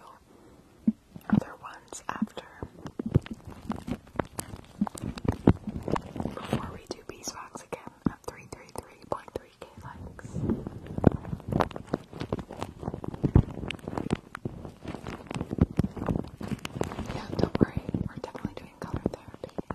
other ones after. Before we do Beeswax again at um, 333.3k likes. Yeah, don't worry, we're definitely doing color therapy.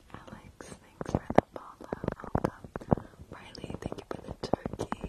Alex, thanks for the follow. Welcome. Riley, thank you for the turkey.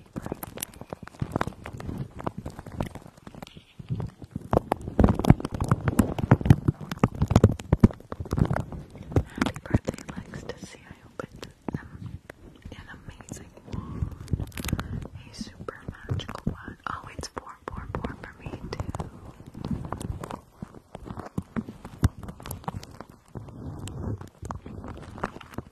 Happy birthday, Lex, to see I opened um, an amazing one. A super magical one. Oh, it's four, four, four for me, too.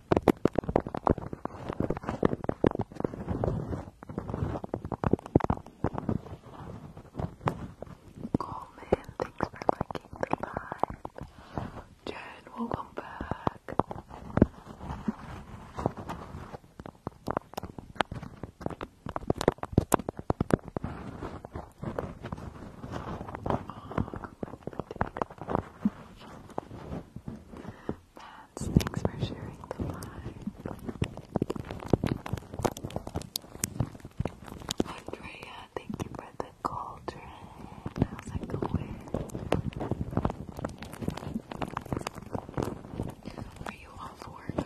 Coleman, thanks for liking the live. Jen, welcome back thanks for sharing the live. Andrea, thank you for the cauldron. How's it going? Are you off work,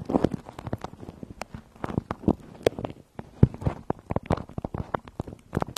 Andrea?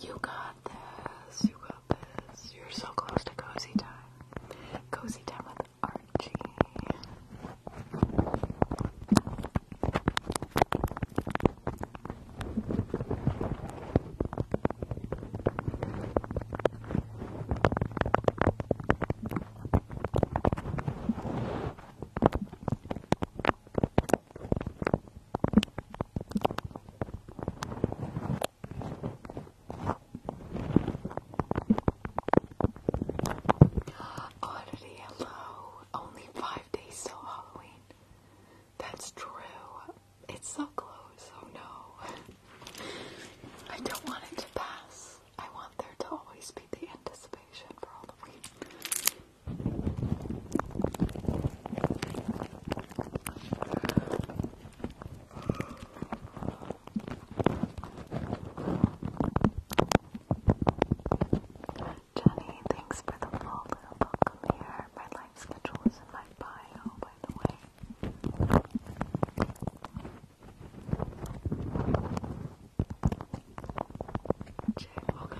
You got this. You got this. You're so close to cozy time. Cozy time with Archie. Oddity, hello. Only five days till Halloween. That's true. It's so close. Oh no. I don't want it to pass. I want there to always be the anticipation for all Halloween. Jenny, thanks for the follow. Welcome here. My life schedule is in my bio, by the way. welcome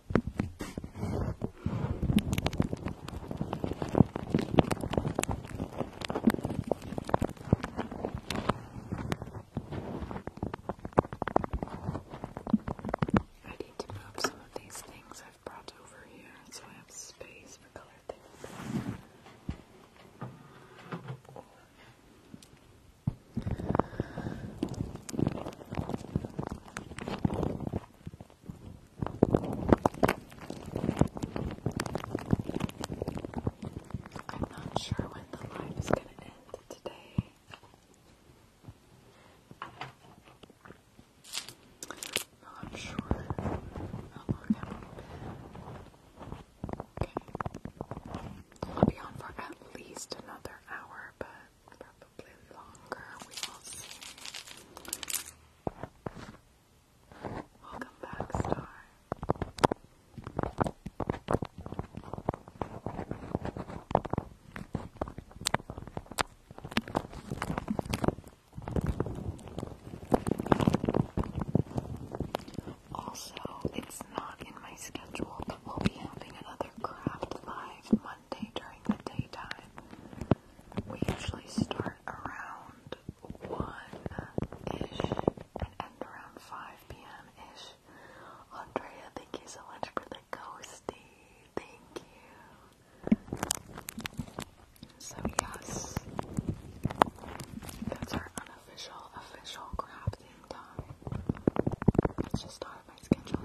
I need to move some of these things I've brought over here so I have space for color things. I'm not sure when the line is going to end today. Not sure Okay. I'll be on for at least another hour, but probably longer. We will see. Welcome back, Star. Also, it's not in my schedule, we'll be having another craft live during the daytime. We usually start around 1-ish and end around 5 p.m.-ish. Andrea, thank you so much for the ghosty. Thank you. So yes, that's our unofficial, official crafting time. It's just not in my schedule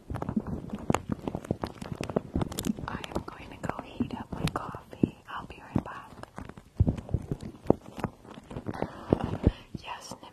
I am going to go heat up my coffee. I'll be right back. Yes, Nim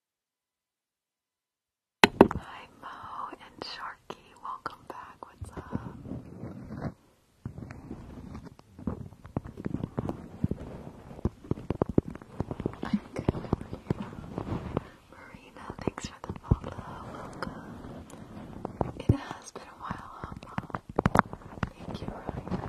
Hi Mo and Sharky, welcome back. What's up? good over Marina, thanks for the follow. Welcome. It has been a while, huh, Mom? Thank you, Ryan.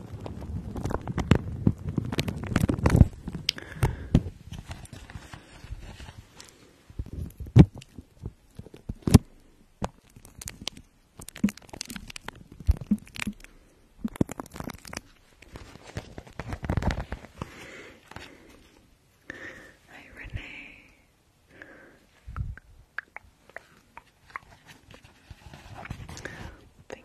Hi, Renee. Thank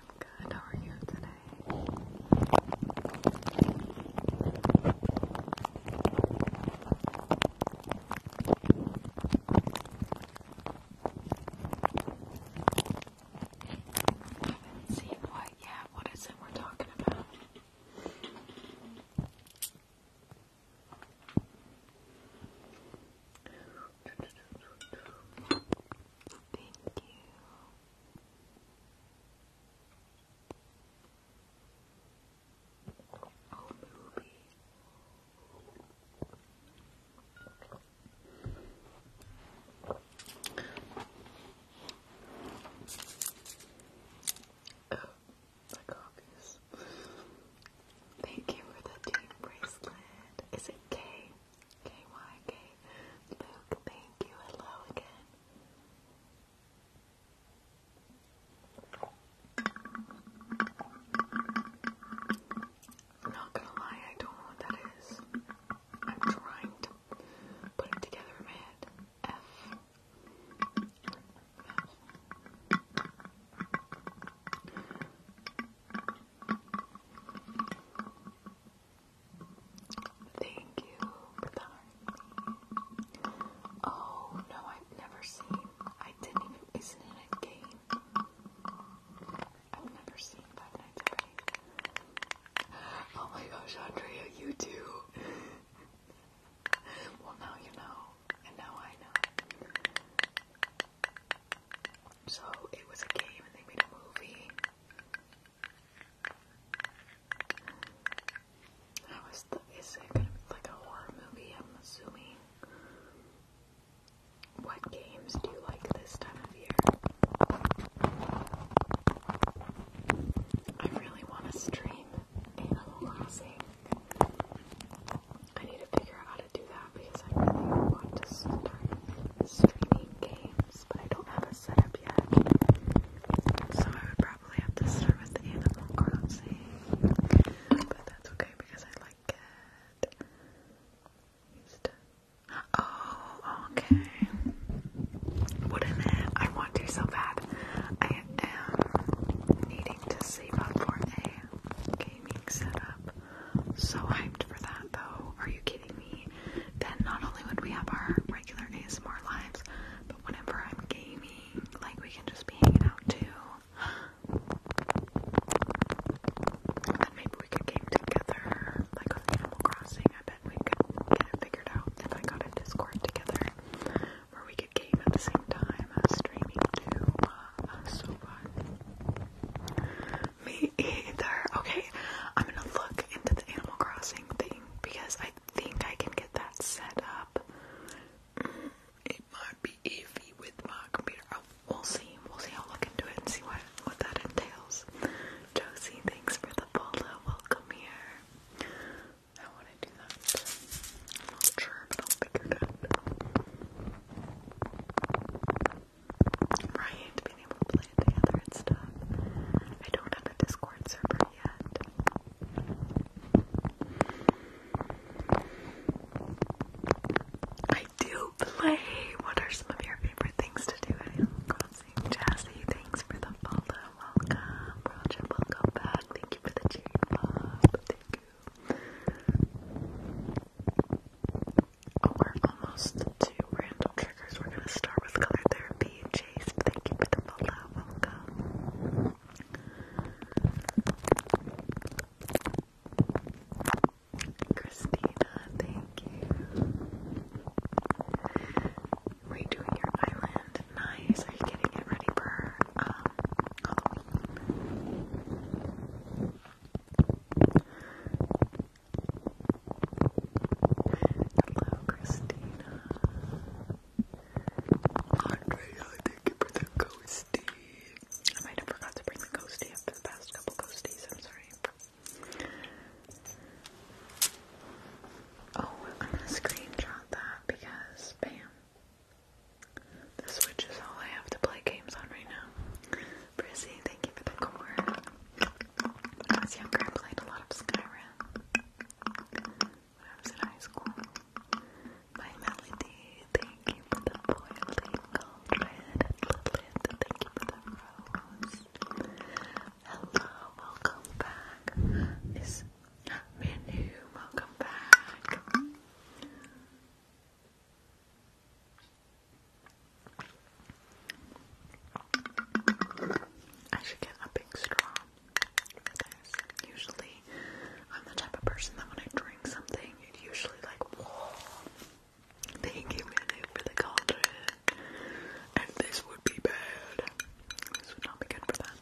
I'm good. How are you today? I haven't seen what yet. What is it we're talking about? Thank you. Oh, movie. Thank you for the team bracelet. Is it K? KYK. Luke, thank you. Hello again. not gonna lie, I don't know what that is. I'm trying to put it together in my head. F. Thank you for the heart. Oh no, I've never seen. I didn't even. Isn't it game? I've never seen Five Nights at Freddy's. Oh my gosh, Andrea, you too. *laughs* well, now you know, and now I know. So it was a game and they made a movie. That was the is it gonna be like a horror movie, I'm assuming? What games do you like this time of year? I really wanna stream Animal Crossing. I need to figure out how to do that because I really want to start streaming games items, but I don't have a setup yet. So I would probably have to start with Animal Crossing. But that's okay because I like it. Oh, okay. Wouldn't it? I want to so bad. I am needing to save up for a gaming setup. So hyped for that though. Are you kidding me? then not only would we have our regular days our lives, but whenever I'm gaming, like we can just be hanging out too. And maybe we could game together, like on Animal Crossing. I bet we could get it figured out if I got a Discord together, where we could game at the same time, streaming too. Uh, so fun. *laughs* Me either. Okay, I'm gonna look into the Animal Crossing thing because I think I can get that set up. Mm, it might be iffy with my computer. Oh, we'll see. We'll see. I'll look into it and see what what that entails. Josie, thinks for the follow. Welcome here. I want to do that. I'm not sure, but I'll figure it out. Right, being able to play together and stuff. I don't have a Discord server yet. I do play. What are some of your favorite things to do Crossing? Jazzy, thanks for the follow. Welcome. Roger, welcome back. Thank you for the cheering, Bob. Thank you. Oh, we're almost to random triggers. We're gonna start with color therapy. Chase, thank you for the follow. Welcome. Christina, thank you. Redoing your island. Nice. Are you getting it ready for um Hello, Christina. Andrea, thank you for the ghosty. I might have forgot to bring the ghosty up for the past couple ghosties, I'm sorry. Oh, I'm gonna screenshot that because, bam. The Switch is all I have to play games on right now. Prissy, thank you for the core. I was younger, I played a lot of Skyrim. When I was in high school, my Melody, thank you for the boiling cauldron. Lilith, thank you for the rose. Hello, welcome back. Miss Minu, welcome back. I should get a big straw for Usually, I'm the type of person that when I drink something, it usually like, thank you, Minnie, for the cauldron. And this would be bad. This would not be good for that.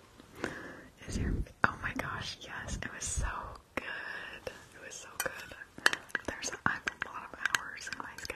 Is your oh my gosh, yes, it was so good. It was so good. There's a, I have a lot of hours in my skin.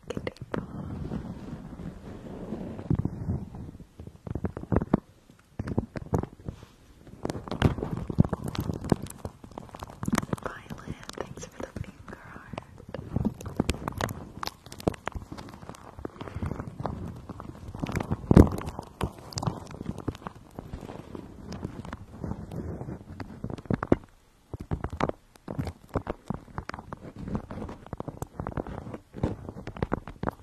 it. Violet, thanks for the finger art. Thank you, babe, for ice cream.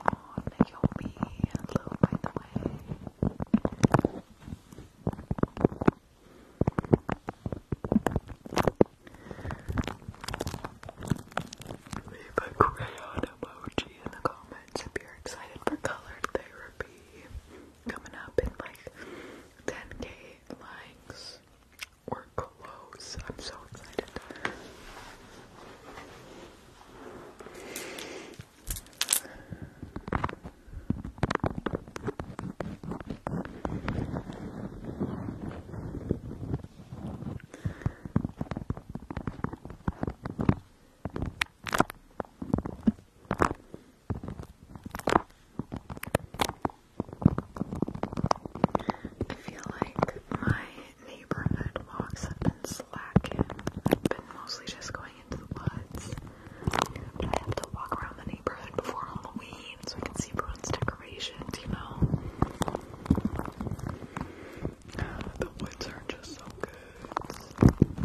Oh, Naomi. Hello, by the way. Leave a crayon emoji in the comments if you're excited for colored therapy. Coming up in like 10k legs. We're close. I'm so excited. I feel like my neighborhood walks have been slacking. I've been mostly just going into the woods. But I have to walk around the neighborhood before Halloween so I can see everyone's decorations, you know? The woods are just so good.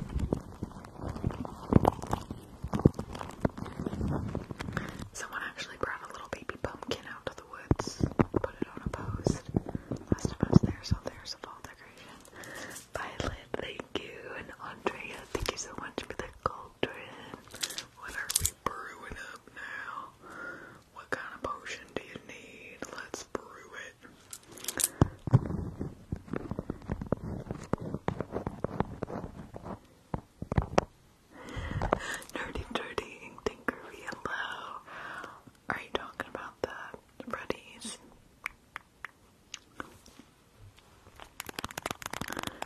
Someone actually brought a little baby pumpkin out to the woods, put it on a post. Last time I was there, so there's a fall decoration. Violet, thank you, and Andrea, thank you so much for the cauldron. What are we brewing up now? What kind of potion do you need? Let's brew it. Nerdy Dirty and Tinkery, hello. Are you talking about the Freddies?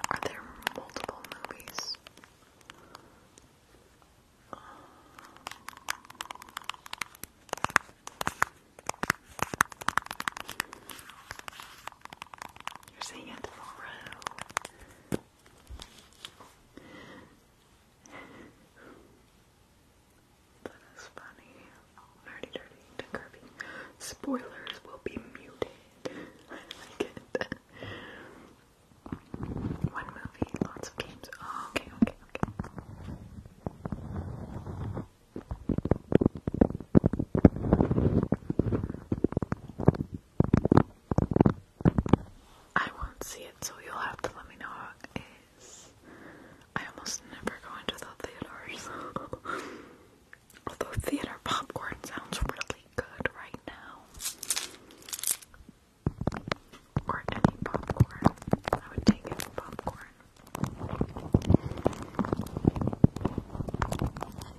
Are there multiple movies? Um, you're seeing it through. that is funny. Nerdy, dirty, to Spoilers will be muted. *laughs* I like it. One movie, lots of games. Oh, okay, okay, okay. I won't see it, so you'll have to let me know I almost never go into the theaters. *laughs* Although theater popcorn sounds really good right now. Or any popcorn. I would take any popcorn. Oh,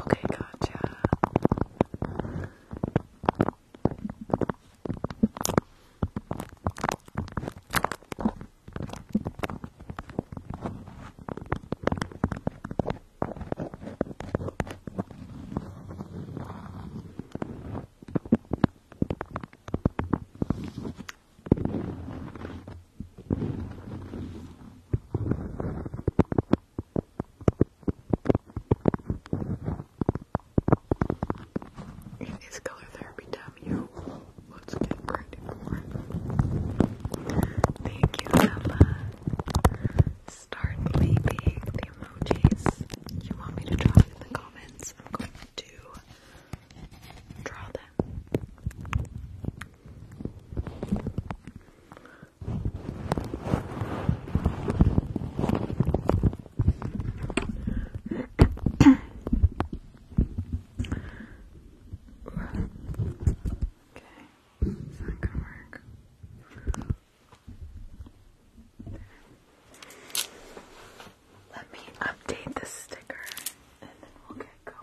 okay, gotcha. It is color therapy time, Let's get ready for it. Thank you, Emma start leaving the emojis you want me to draw in the comments, I'm going to draw them. *coughs* okay, it's not gonna work. Let me update the sticker and then we'll get going.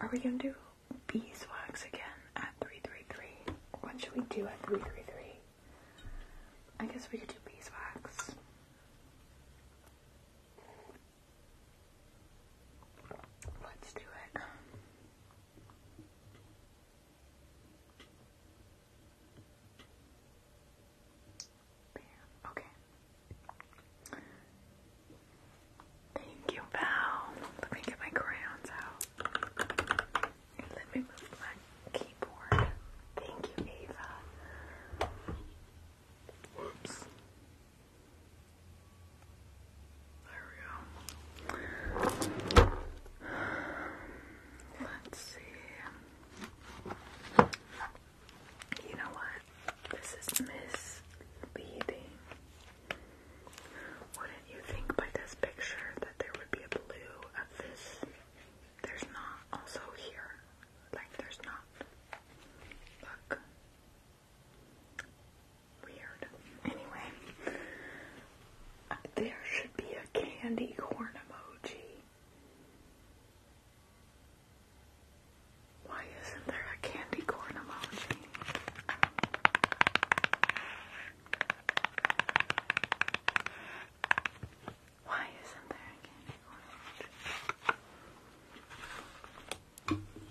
Are we gonna do beeswax again at 333? What should we do at 333? I guess we could do beeswax. Let's do it. Okay. Thank you, Val. Let me get my crayons out. let me move my keyboard. Thank you, Ava. Whoops. There we go. Let's see. You know what? This is misleading. Wouldn't you think by this picture that there would be a blue of this? There's not. Also here. Like, there's not. Look. Weird. Anyway, there should be a candy corn emoji. Why isn't there a candy corn emoji? Why isn't there a candy corn emoji?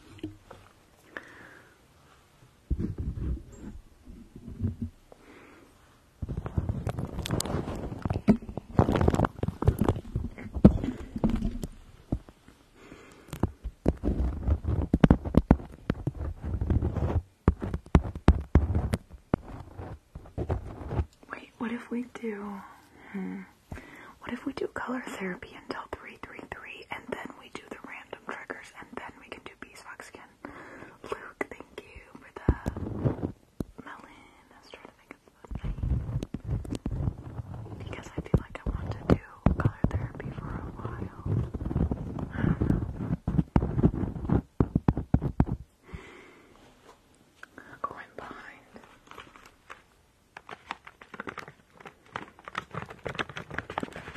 Wait, what if we do? Hmm, what if we do color therapy until 333 and then we do the random triggers and then we can do beeswax again? Luke, thank you for the melon. I was trying to think of the Because I feel like I want to do color therapy for a while. I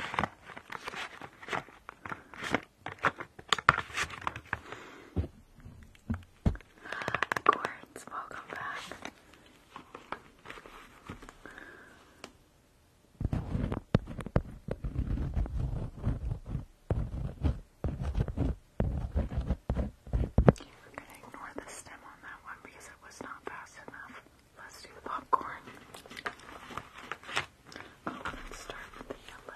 behind. Quartz, welcome back. We're ignore the stem on that one because it was not fast enough. Let's do the popcorn. Oh, let's start with the yellow.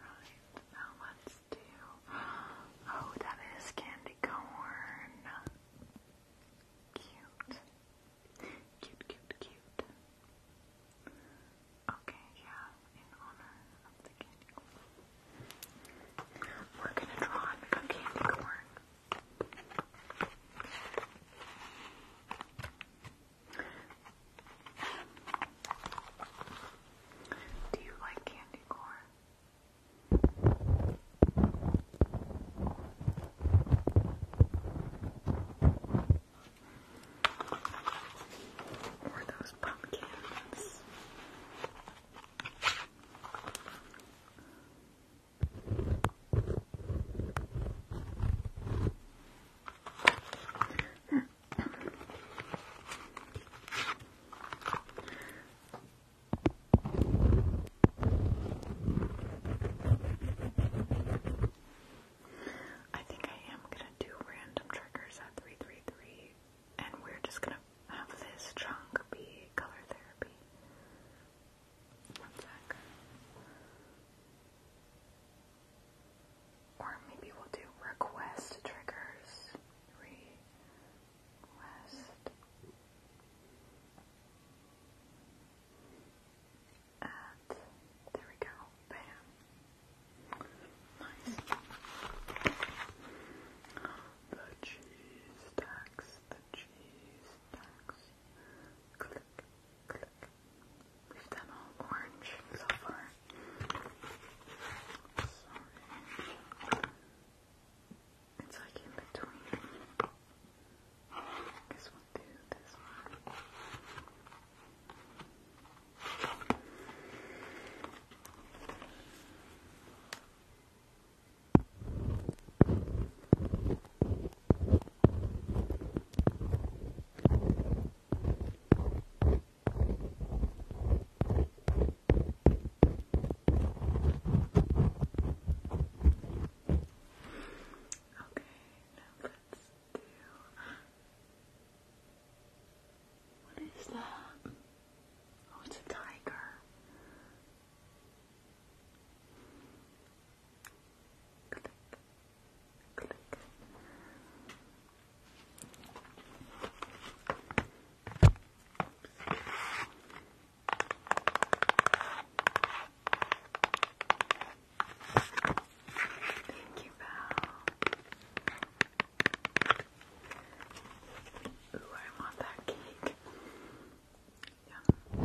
Right, now let's do. Oh, that is candy corn. Cute. Cute, cute, cute. Okay, yeah, in honor of the candy corn. We're gonna draw and make candy corn. Do you like candy corn? Or those pumpkins. That I think I am gonna do random triggers at 333, and we're just gonna have this chunk be color therapy. One sec. Or maybe we'll do request triggers west and there we go, bam nice the cheese stacks, the cheese stacks click, click we've done all orange so far sorry it's like in between. I guess we'll do this one now let's do. What is that? Oh, it's a tiger. Click. Click. Thank you, Val. Ooh, I want that cake. Yum.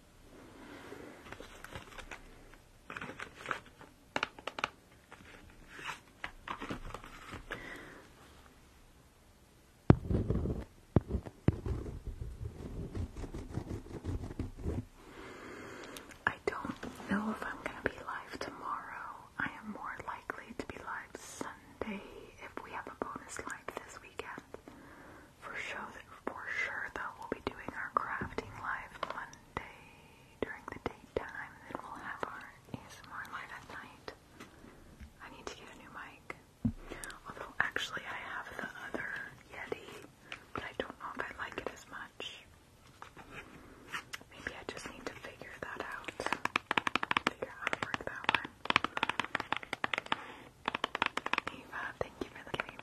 I don't know if I'm going to be live tomorrow. I am more likely to be live Sunday if we have a bonus live this weekend for sure, that for sure though we'll be doing our crafting live Monday during the daytime, and then we'll have our ASMR live at night. I need to get a new mic. Although actually I have the other Yeti, but I don't know if I like it as much. Maybe I just need to figure that out. Figure out work that one. Eva, thank you for the kitty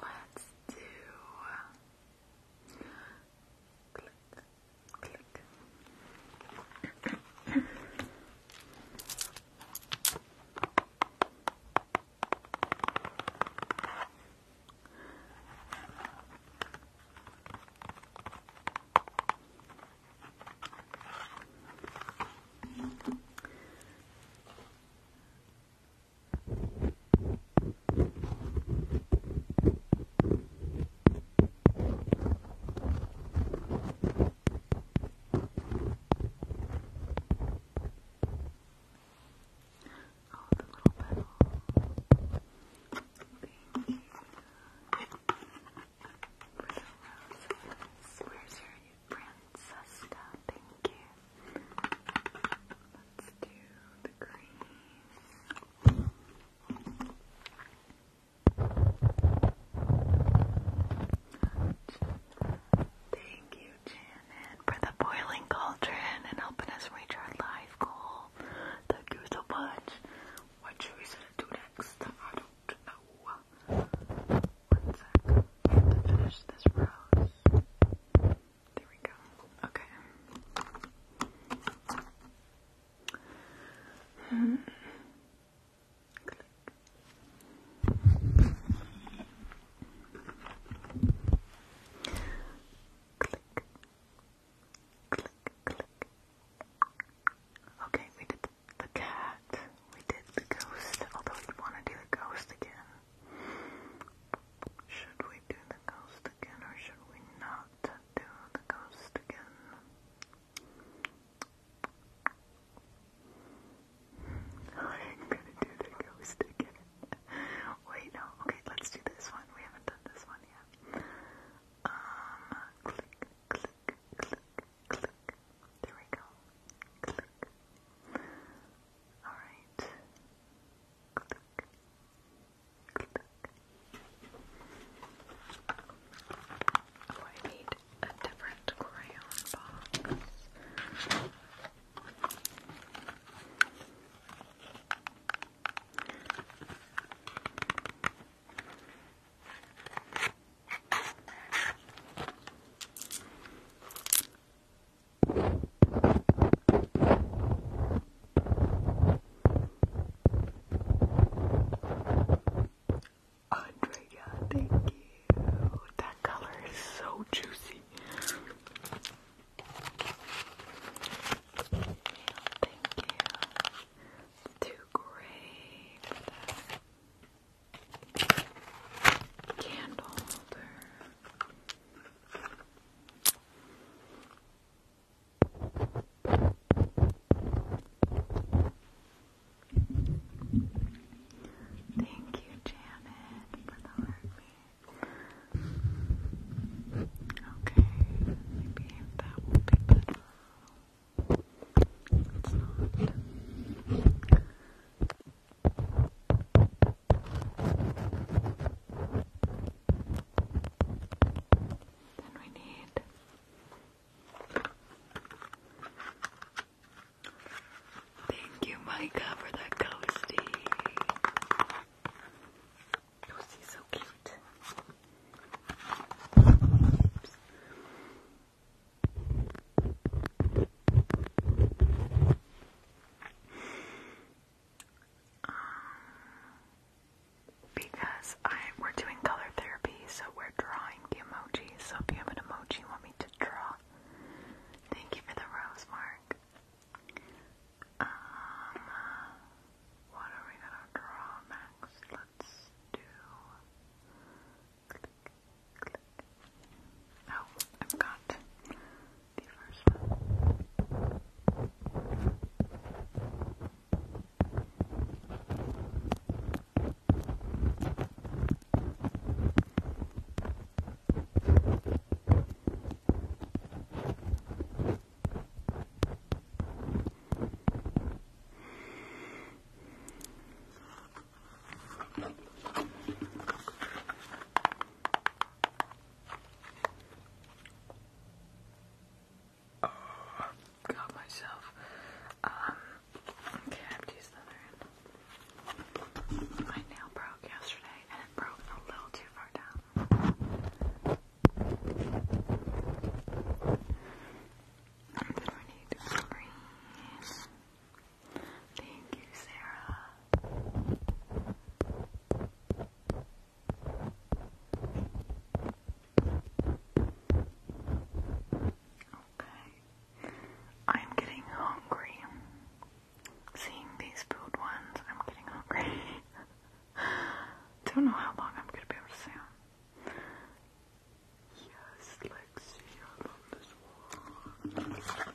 Let's do click, click. Oh, the little petal. Thank you. For the roses. Where's your Francesca, thank you. Let's do the green. Thank you, Janet, for the boiling cauldron and helping us reach our live goal. Thank you What should we do next? I don't know. One to finish this rose. There we go. Okay. Hmm. Click. Click. Click, click. Okay, we did the cat. We did the ghost, although we want to do the ghost again. Should we do the ghost again or should we not do the ghost again? *laughs* I'm gonna do the ghost again. Wait, no. Okay, let's do this one. We haven't done this one yet. Um, click, click, click, click. There we go. Click. All right. Click. Click. Oh, I need a different crayon box. Andrea, thank you. That color is so juicy. Thank you. Too gray candle Thank you, Janet, for the heartbeat. Okay, maybe that will be better. It's not. Then we need Thank you, Micah, for that ghosty. Ghosty's so cute. Um, because I we're doing color therapy, so we're drawing the emojis. So if you have an emoji you want me to draw, thank you for the rose mark. Um, what are we gonna draw next? Let's do click. Oh, I've got the first one. Uh, got myself. Um, okay, I have to use the other end. My nail broke yesterday and it broke a little too far down. And then we need green. Thank you, Sarah. Okay. I'm getting hungry. Seeing these food ones, I'm getting hungry. *laughs* Don't know how long I'm gonna be able to stay Yes, Lexi, I love this one.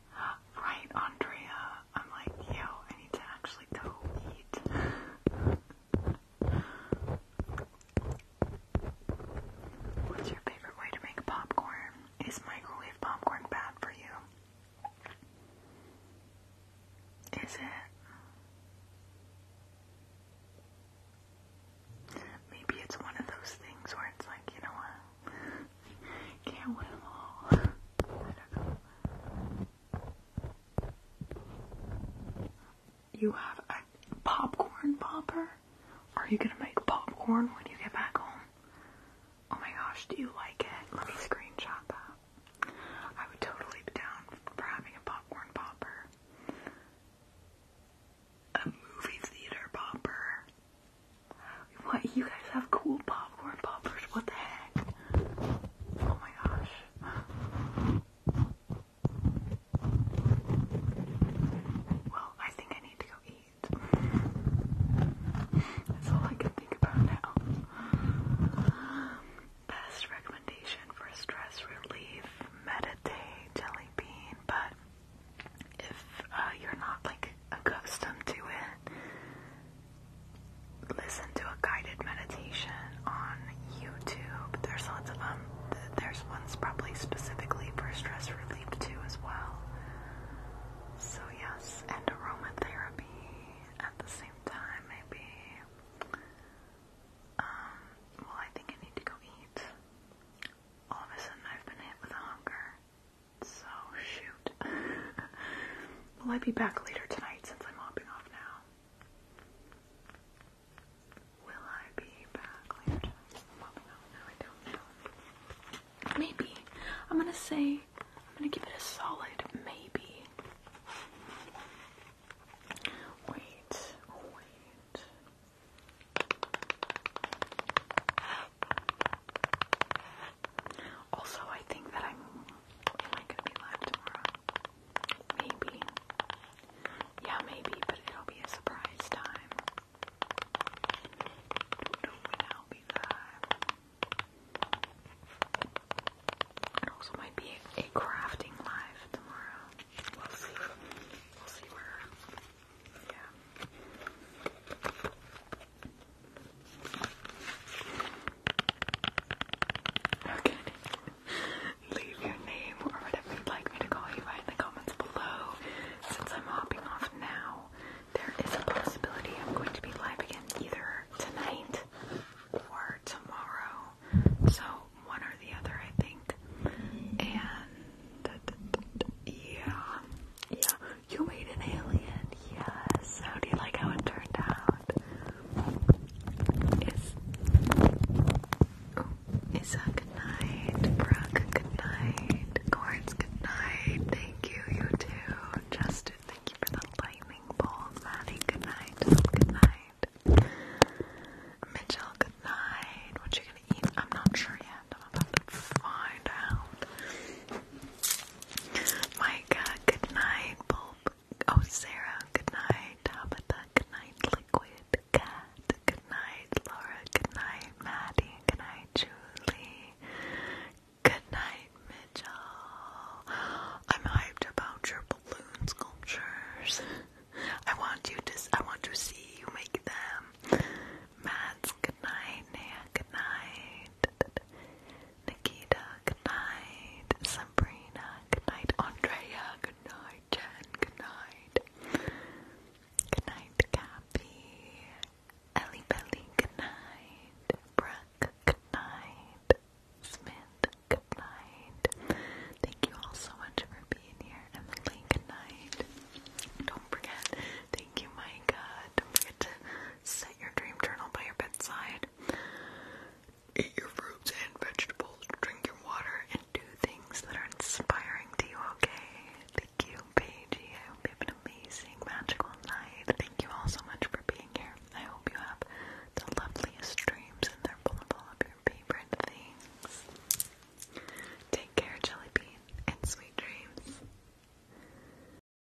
Right, Andrea. I'm like, yo, I need to actually go eat. What's your favorite way to make popcorn? Is microwave popcorn bad for you? Is it? Maybe it's one of those things where it's like, you know what? You have a popcorn popper? Are you gonna make popcorn when you get back home? Oh my gosh, do you like it? Let me screenshot that. I would totally be down for having a popcorn popper. A movie theater popper. What you guys have cool popcorn poppers? What the heck? Oh my gosh. Well, I think I need to go eat. That's all I can think about now. Best recommendation for stress relief, meditate, jelly bean, but if uh, you're not like accustomed to it. Uh, listen to a guided meditation on YouTube. There's lots of um, them. There's ones probably specifically for stress relief too as well. So yes, and aromatherapy at the same time maybe. Um, well I think I need to go eat. All of a sudden I've been hit with a hunger. So shoot. *laughs* Will I be back later tonight since I'm hopping off now? Will I be back later tonight I don't know. Maybe. I'm gonna say I'm gonna give it a solid maybe. Wait, wait. Also, I think that I'm. Am I gonna be live tomorrow? Maybe. Yeah, maybe, but it'll be a surprise time. do will be live. It also might be a crafting live tomorrow. We'll see. We'll see where. Yeah. Okay. *laughs* Leave your name or whatever you'd like me to call you right in the comments below. Since I'm hopping off now, there is a possibility I'm going to be live again either tonight or tomorrow. So one or the other, I think. And yeah, yeah. You made an alien, yes. How do you like how it turned out? Is oh, good night. Brooke, good night. Corns, good night. Thank you, you too. Justin, thank you for the lightning bolt. Maddie, good night. Good night. Mitchell, good night. What you gonna eat? I'm not sure yet. I'm about to find out. Micah, good night. Bulb. Oh, Sarah, good night. Tabitha, good night. Liquid Cat, good night. Laura, good night. Maddie, good night. Julie, good night. Mitchell, I'm hyped about your balloon sculptures. I want you to. I want to see you make them. Mads, good night. Nia, good night. Nikita, good night. Sabrina, good night. Andrea, good night. Jen, good night. Good night, Cappy. Ellie good night. Brooke, good night. Smith, good night. Thank you all so much for being here. Emily, good night. Don't forget, thank you, Micah. Don't forget to say your dream journal by your bedside. Eat your fruits and vegetables, drink your water, and do things that are inspiring to you, okay? Thank you, Paigey. I hope you have an amazing, magical night. Thank you all so much for being here. I hope you have the loveliest dreams and they're full of your favorite things. Take care, Jellybean, and sweet dreams.